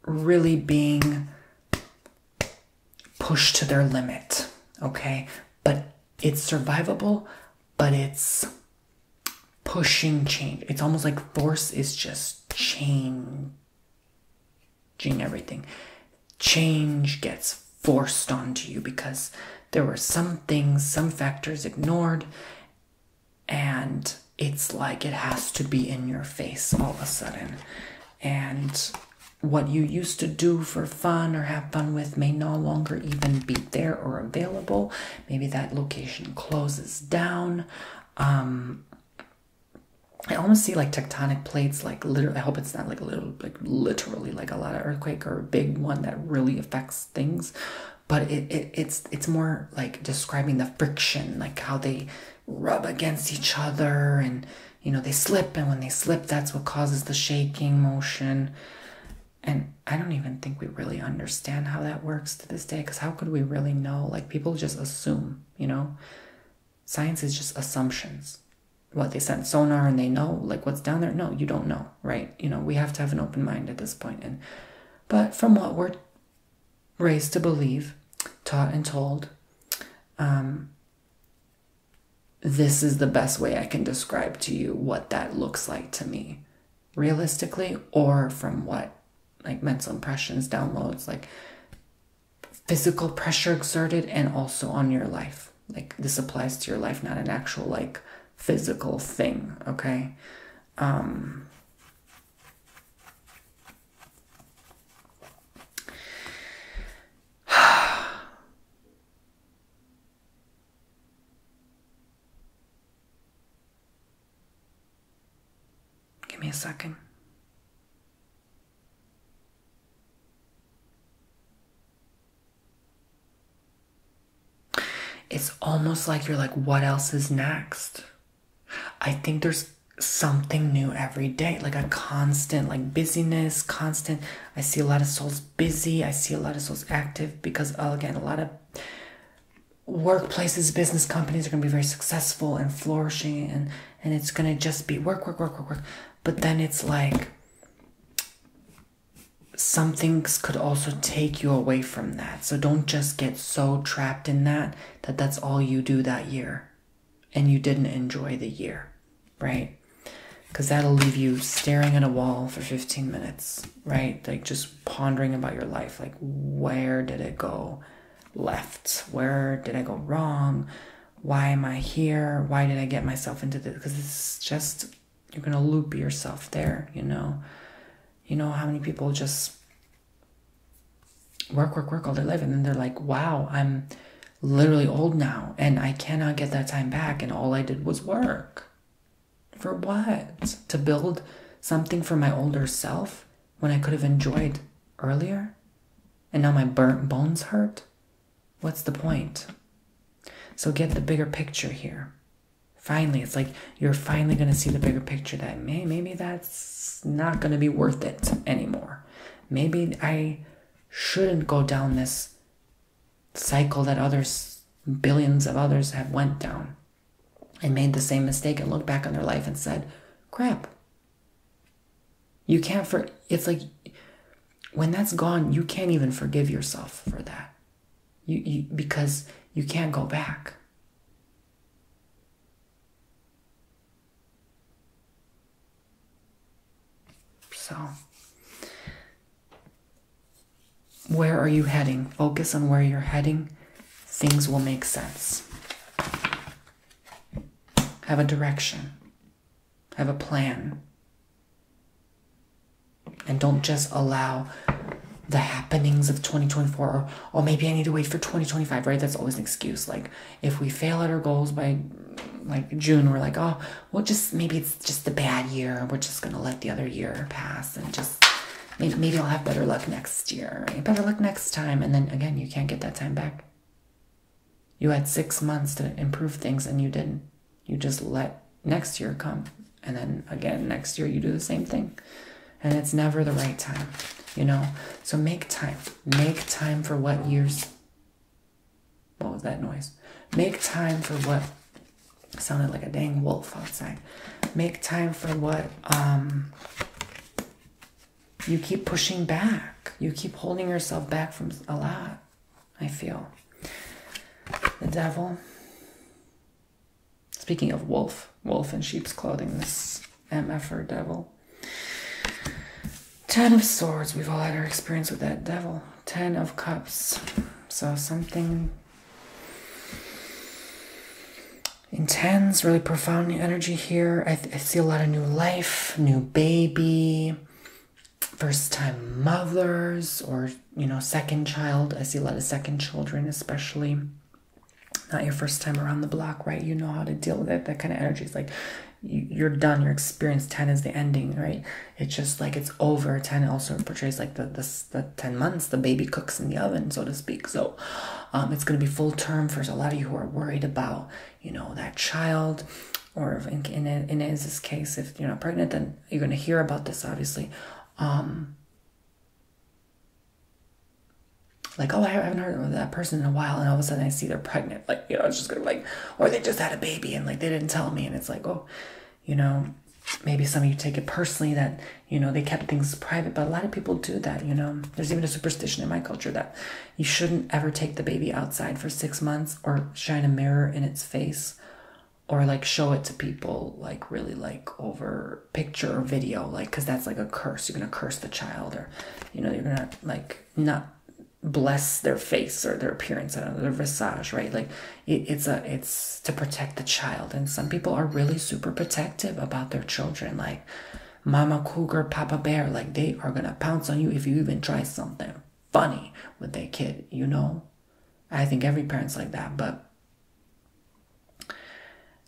really being pushed to their limit. Okay, but it's survivable, but it's pushing change. It's almost like force is just changing everything. Change gets forced onto you because there were some things, some factors ignored, and it's like it has to be in your face all of a sudden. And what you used to do for fun or have fun with may no longer even be there or available. Maybe that location closes down. Um, I almost see like tectonic plates, like literally. I hope it's not like a little, like literally, like a lot of earthquake or a big one that really affects things. But it, it it's it's more like describing the friction, like how they rub against each other and you know, they slip, and when they slip, that's what causes the shaking motion. And I don't even think we really understand how that works to this day because how could we really know? Like, people just assume, you know? Science is just assumptions. What they sent sonar and they know, like, what's down there? No, you don't know, right? You know, we have to have an open mind at this point. And, but from what we're raised to believe, taught and told, um, this is the best way I can describe to you what that looks like to me realistically or from what like mental impressions downloads like physical pressure exerted and also on your life like this applies to your life not an actual like physical thing okay um Give me a second. It's almost like you're like, what else is next? I think there's something new every day, like a constant, like busyness, constant I see a lot of souls busy. I see a lot of souls active because, oh, again, a lot of workplaces, business companies are going to be very successful and flourishing, and and it's going to just be work, work, work, work, work. But then it's like some things could also take you away from that. So don't just get so trapped in that that that's all you do that year and you didn't enjoy the year, right? Because that'll leave you staring at a wall for 15 minutes, right? Like just pondering about your life. Like, where did it go left? Where did I go wrong? Why am I here? Why did I get myself into this? Because it's just, you're going to loop yourself there, you know? You know how many people just work, work, work all their life and then they're like, wow, I'm literally old now and I cannot get that time back. And all I did was work. For what? To build something for my older self when I could have enjoyed earlier? And now my burnt bones hurt? What's the point? So get the bigger picture here. Finally, it's like you're finally going to see the bigger picture that may, maybe that's not going to be worth it anymore. Maybe I shouldn't go down this cycle that others billions of others have went down and made the same mistake and looked back on their life and said crap you can't for it's like when that's gone you can't even forgive yourself for that you, you because you can't go back so, where are you heading? Focus on where you're heading. Things will make sense. Have a direction, have a plan. And don't just allow the happenings of 2024 or oh maybe i need to wait for 2025 right that's always an excuse like if we fail at our goals by like june we're like oh well, just maybe it's just a bad year. We're just gonna let the other year pass and just maybe maybe I'll have better luck next year. Better luck next time. And then again, you can't get that time back. You had six months to improve things and you didn't. You just let next year come. And then again, next year you do the same thing. And it's never the right time, you know? So make time. Make time for what years what was that noise? Make time for what sounded like a dang wolf outside. Make time for what um, you keep pushing back. You keep holding yourself back from a lot, I feel. The devil. Speaking of wolf, wolf in sheep's clothing, this MF devil. Ten of Swords. We've all had our experience with that devil. Ten of Cups. So something intense, really profound energy here. I, see a lot of new life, new baby, first time mothers, or, you know, second child. I see a lot of second children, especially not your first time around the block, right? You know how to deal with it. That kind of energy is like you're done, your experience 10 is the ending, right? it's just like it's over 10 also portrays like the, the, the 10 months the baby cooks in the oven so to speak so um, it's going to be full term for a lot of you who are worried about you know that child or in, in, in Iz's case if you're not pregnant then you're going to hear about this obviously um, like oh i haven't heard of that person in a while and all of a sudden i see they're pregnant like, you know, it's just gonna be like, or they just had a baby and like they didn't tell me. And it's like, oh, you know, maybe some of you take it personally that, you know, they kept things private, but a lot of people do that, you know. There's even a superstition in my culture that you shouldn't ever take the baby outside for six months or shine a mirror in its face or like show it to people like really like over picture or video like because that's like a curse you're gonna curse the child or you know you're gonna like not bless their face or their appearance and their visage, right? Like it's a it's to protect the child. And some people are really super protective about their children, like Mama Cougar, Papa Bear, like they are gonna pounce on you if you even try something funny with their kid, you know? I think every parent's like that, but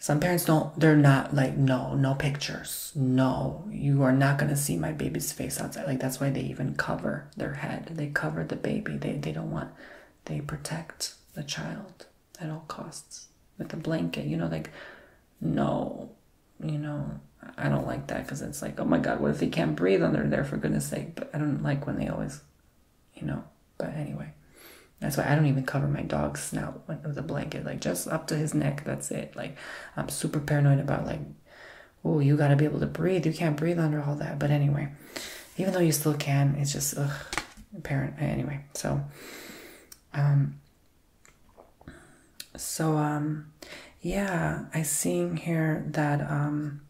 some parents don't they're not like no no pictures no you are not going to see my baby's face outside like that's why they even cover their head they cover the baby they, they don't want they protect the child at all costs with a blanket you know like no you know i don't like that because it's like oh my god what if they can't breathe under there for goodness sake but i don't like when they always you know but anyway that's why i don't even cover my dog's snout with a blanket like just up to his neck that's it like i'm super paranoid about like oh, you got to be able to breathe. You can't breathe under all that. But anyway, even though you still can, it's just ugh, apparent. Anyway, so, um, so, um, yeah, I seeing here that, um,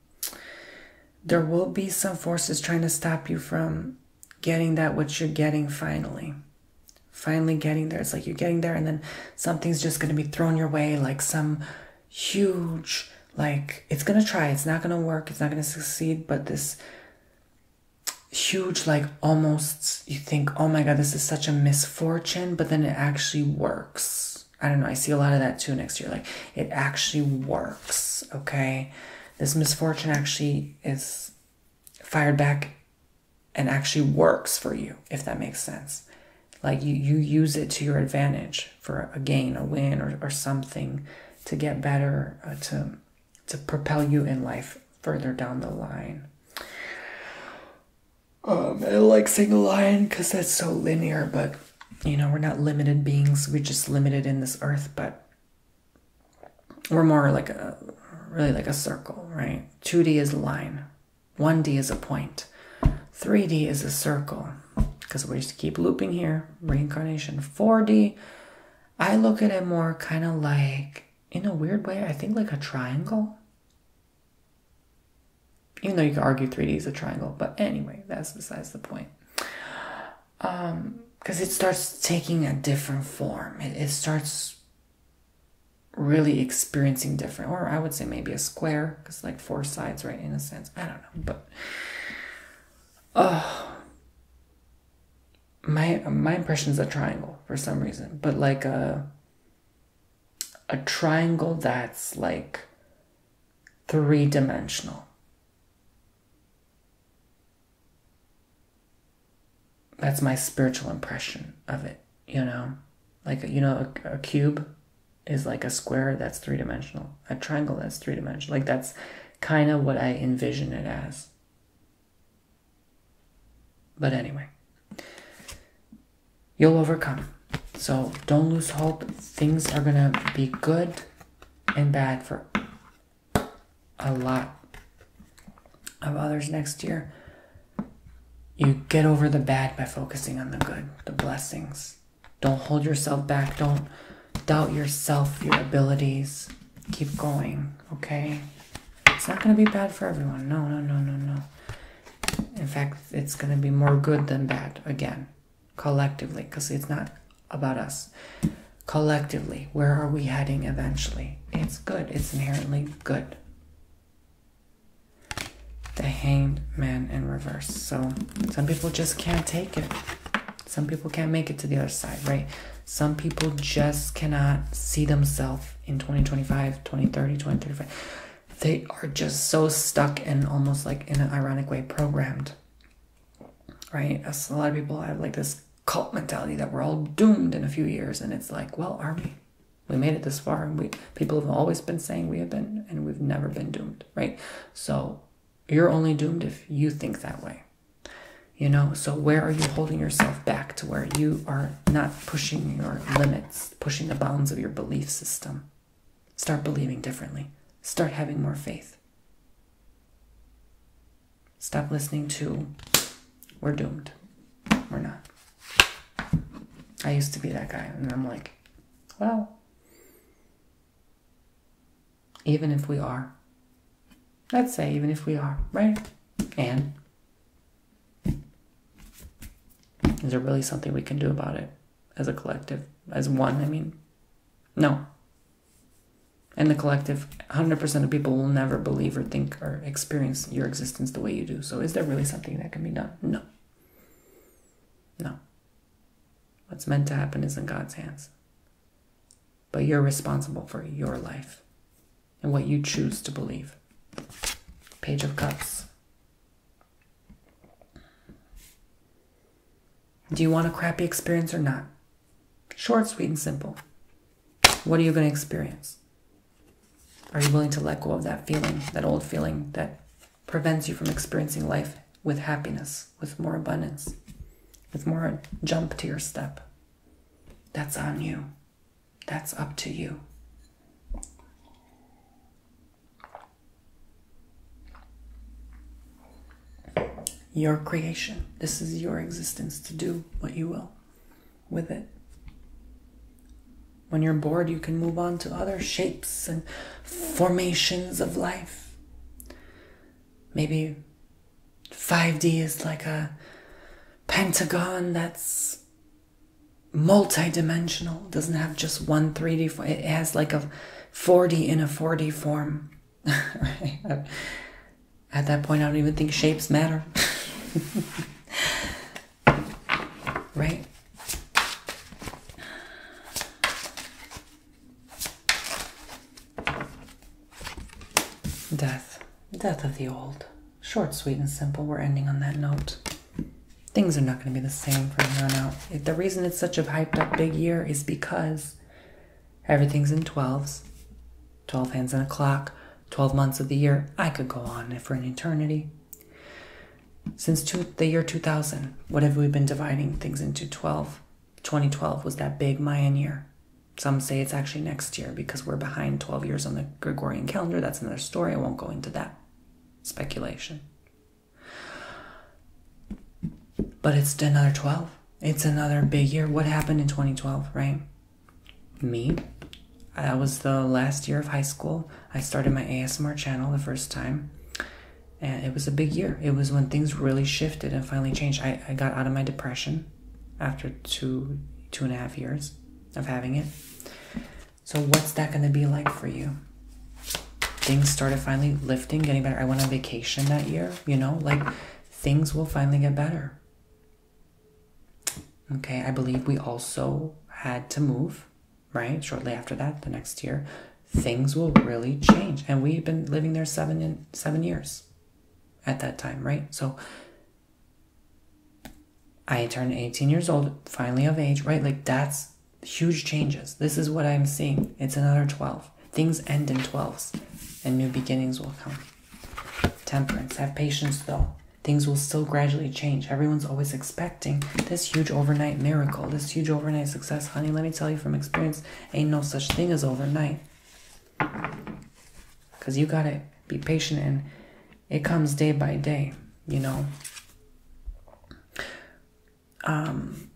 there will be some forces trying to stop you from getting that which you're getting finally finally getting there it's like you're getting there and then something's just going to be thrown your way like some huge, like it's gonna try, it's not gonna work, it's not gonna succeed, but this huge, like almost you think, oh my god, this is such a misfortune, but then it actually works. I don't know, I see a lot of that too next year. Like it actually works, okay? This misfortune actually is fired back and actually works for you, if that makes sense. Like you, you use it to your advantage for a gain, a win, or, or something to get better, uh, to, to propel you in life further down the line. Um, I like saying line because that's so linear, but you know, we're not limited beings. We're just limited in this earth, but we're more like a, really like a circle, right? 2D is line, 1D is a 3D is a circle because we just keep looping here, reincarnation. 4D, I look at it more kind of like, in a weird way, I think like a triangle. Even though you could argue 3D is a triangle, but anyway, that's besides the point. Because um, it starts taking a different form, it starts really experiencing different, or I would say maybe a square work. It's like four sides, right? In a sense, I don't know, but oh, my my impression is a triangle for some reason, but like a a triangle that's like three dimensional. That's my spiritual impression of it, you know, like you know a cube is like a square that's three dimensional, a triangle that's three dimensional. Like that's kind of what I envision it as. But anyway, you'll overcome. So don't lose hope. Things are going to be good and bad for a lot of others next year. You get over the bad by focusing on the good, the blessings don't hold yourself back. Don't doubt yourself, your abilities. Keep going, okay? It's not going to be bad for everyone. No, no, no, no, no. In fact, it's going to be more good than bad again, collectively, because it's not about us. Collectively, where are we heading eventually? It's good, it's inherently good the hanged man in reverse. So some people just can't take it. Some people can't make it to the other side, right? Some people just cannot see themselves in 2025, 2030, 2035. They are just so stuck and almost like in an ironic way programmed, right? a lot of people have like this cult mentality that we're all doomed in a few years. And it's like, well, are we? We made it this far and we People have always been saying we have been, and we've never been doomed, right? So you're only doomed if you think that way. You know, so where are you holding yourself back to where you are not pushing your limits, pushing the bounds of your belief system? Start believing differently. Start having more faith. Stop listening to, we're doomed. We're not. I used to be that guy, and I'm like, well, even if we are. Let's say, even if we are, right? And is there really something we can do about it as a collective? As one, I mean? No. In the collective, 100% of people will never believe or think or experience your existence the way you do. So is there really something that can be done? No. No. What's meant to happen is in God's hands. But you're responsible for your life and what you choose to believe. Page of Cups. Do you want a crappy experience or not? Short, sweet, and simple. What are you going to experience? Are you willing to let go of that feeling, that old feeling, that prevents you from experiencing life with happiness, with more abundance, with more jump to your step. That's on you. That's up to you. Your creation. This is your existence to do what you will with it. When you're bored, you can move on to other shapes and formations of life. Maybe 5D is like a pentagon that's multidimensional. doesn't have just one 3d it has like a 4d in a 4d form at that point i don't even think shapes matter right Death. Death of the old. Short, sweet, and simple. We're ending on that note. Things are not going to be the same from here on out. the reason it's such a hyped up big year is because everything's in 12s, 12 hands on a clock, 12 months of the year. I could go on for an eternity since the year 2000. What have we been dividing things into? 12. 2012 was that big Mayan year. Some say it's actually next year because we're behind 12 years on the Gregorian calendar. That's another story. I won't go into that speculation. But it's another 12. It's another big year. What happened in 2012, right? Me. That was the last year of high school. I started my ASMR channel the first time and it was a big year. It was when things really shifted and finally changed. I, I got out of my depression after two two and a half years of having it. So what's that gonna be like for you? Things started finally lifting, getting better. I went on vacation that year, you know, like things will finally get better. Okay, I believe we also had to move right? Shortly after that, the next year, things will really change. And we've been living there seven in, seven years at that time, right? So I turned 18 years old, finally of age, right? Like that's huge changes. This is what I'm seeing. It's another 12. Things end in 12s and new beginnings will come. Temperance, have patience though. Things will still gradually change. Everyone's always expecting this huge overnight miracle, this huge overnight success. Honey, let me tell you from experience, ain't no such thing as overnight. Because you got to be patient and it comes day by day, you know. Um,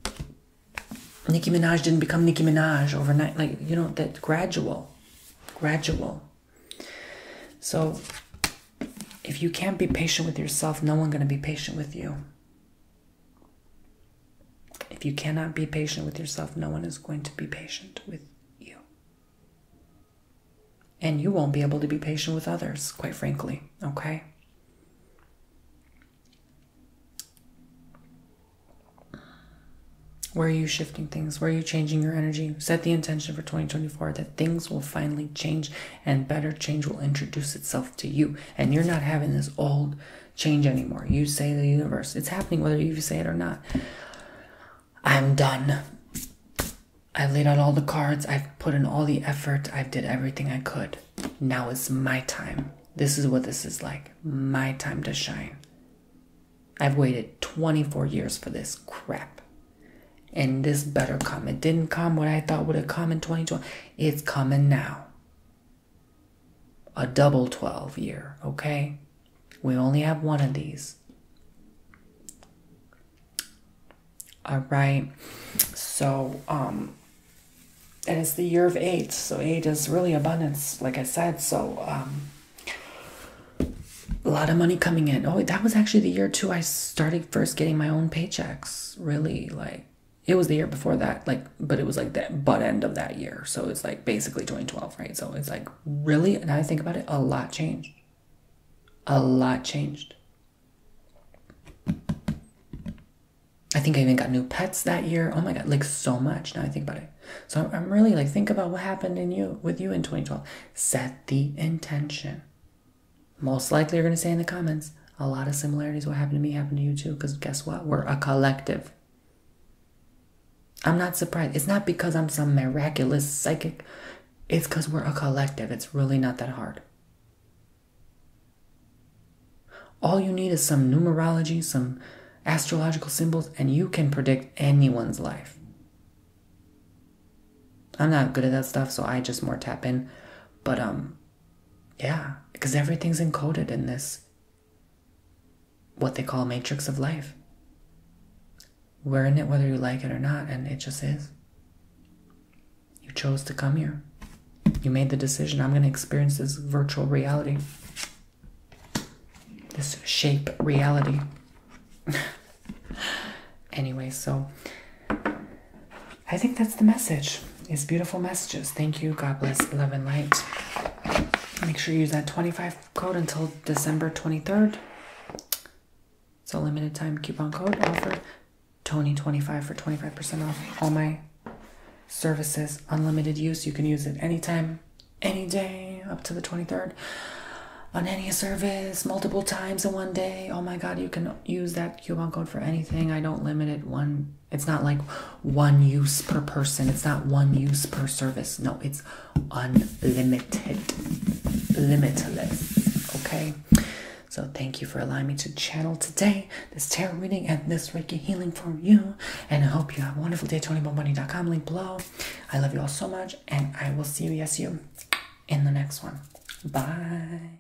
Nicki Minaj didn't become Nicki Minaj overnight. Like, you know, that gradual, gradual. So if you can't be patient with yourself, no one's going to be patient with you. If you cannot be patient with yourself, no one is going to be patient with you. And you won't be able to be patient with others, quite frankly, okay? Where are you shifting things? Where are you changing your energy? Set the intention for 2024 that things will finally change and better change will introduce itself to you. And you're not having this old change anymore. You say the universe. It's happening whether you say it or not. I'm done. I've laid out all the cards. I've put in all the effort. I've did everything I could. Now is my time. This is what this is like. My time to shine. I've waited 24 years for this crap. And this better come. It didn't come what I thought would have come in 2020. It's coming now. A double 12 year, okay? We only have one of these. All right. So, um, and it's the year of eight. So, eight is really abundance, like I said. So, um, a lot of money coming in. Oh, that was actually the year too I started first getting my own paychecks. Really, like it was the year before that, like, but it was like the butt end of that year. So it's like basically 2012, right? So it's like really, and I think about it, a lot changed. A lot changed. I think I even got new pets that year. Oh my god, like so much. Now I think about it. So I'm really like think about what happened in you with you in 2012. Set the intention. Most likely you're going to say in the comments, a lot of similarities. What happened to me happened to you too. Because guess what? We're a collective. I'm not surprised. It's not because I'm some miraculous psychic. It's because we're a collective. It's really not that hard. All you need is some numerology, some astrological symbols, and you can predict anyone's life. I'm not good at that stuff, so I just more tap in. But um yeah, because everything's encoded in this, what they call matrix of life. We're in it whether you like it or not, and it just is. You chose to come here. You made the decision I'm going to experience this virtual reality, this shape reality. anyway, so I think that's the message. It's beautiful messages. Thank you. God bless. Love and light. Make sure you use that 25 code until December 23rd. It's a limited time coupon code offered. Tony25 for 25% off all my services. Unlimited use. You can use it anytime, any day, up to the 23rd. On any service, multiple times in one day. Oh my God, you can use that coupon code for anything. I don't limit it one. It's not like one use per person. It's not one use per service. No, it's unlimited, limitless. Okay. So thank you for allowing me to channel today this tarot reading and this Reiki healing for you. And I hope you have a wonderful day. TonyBomboni.com link below. I love you all so much, and I will see you, yes, you, in the next one. Bye.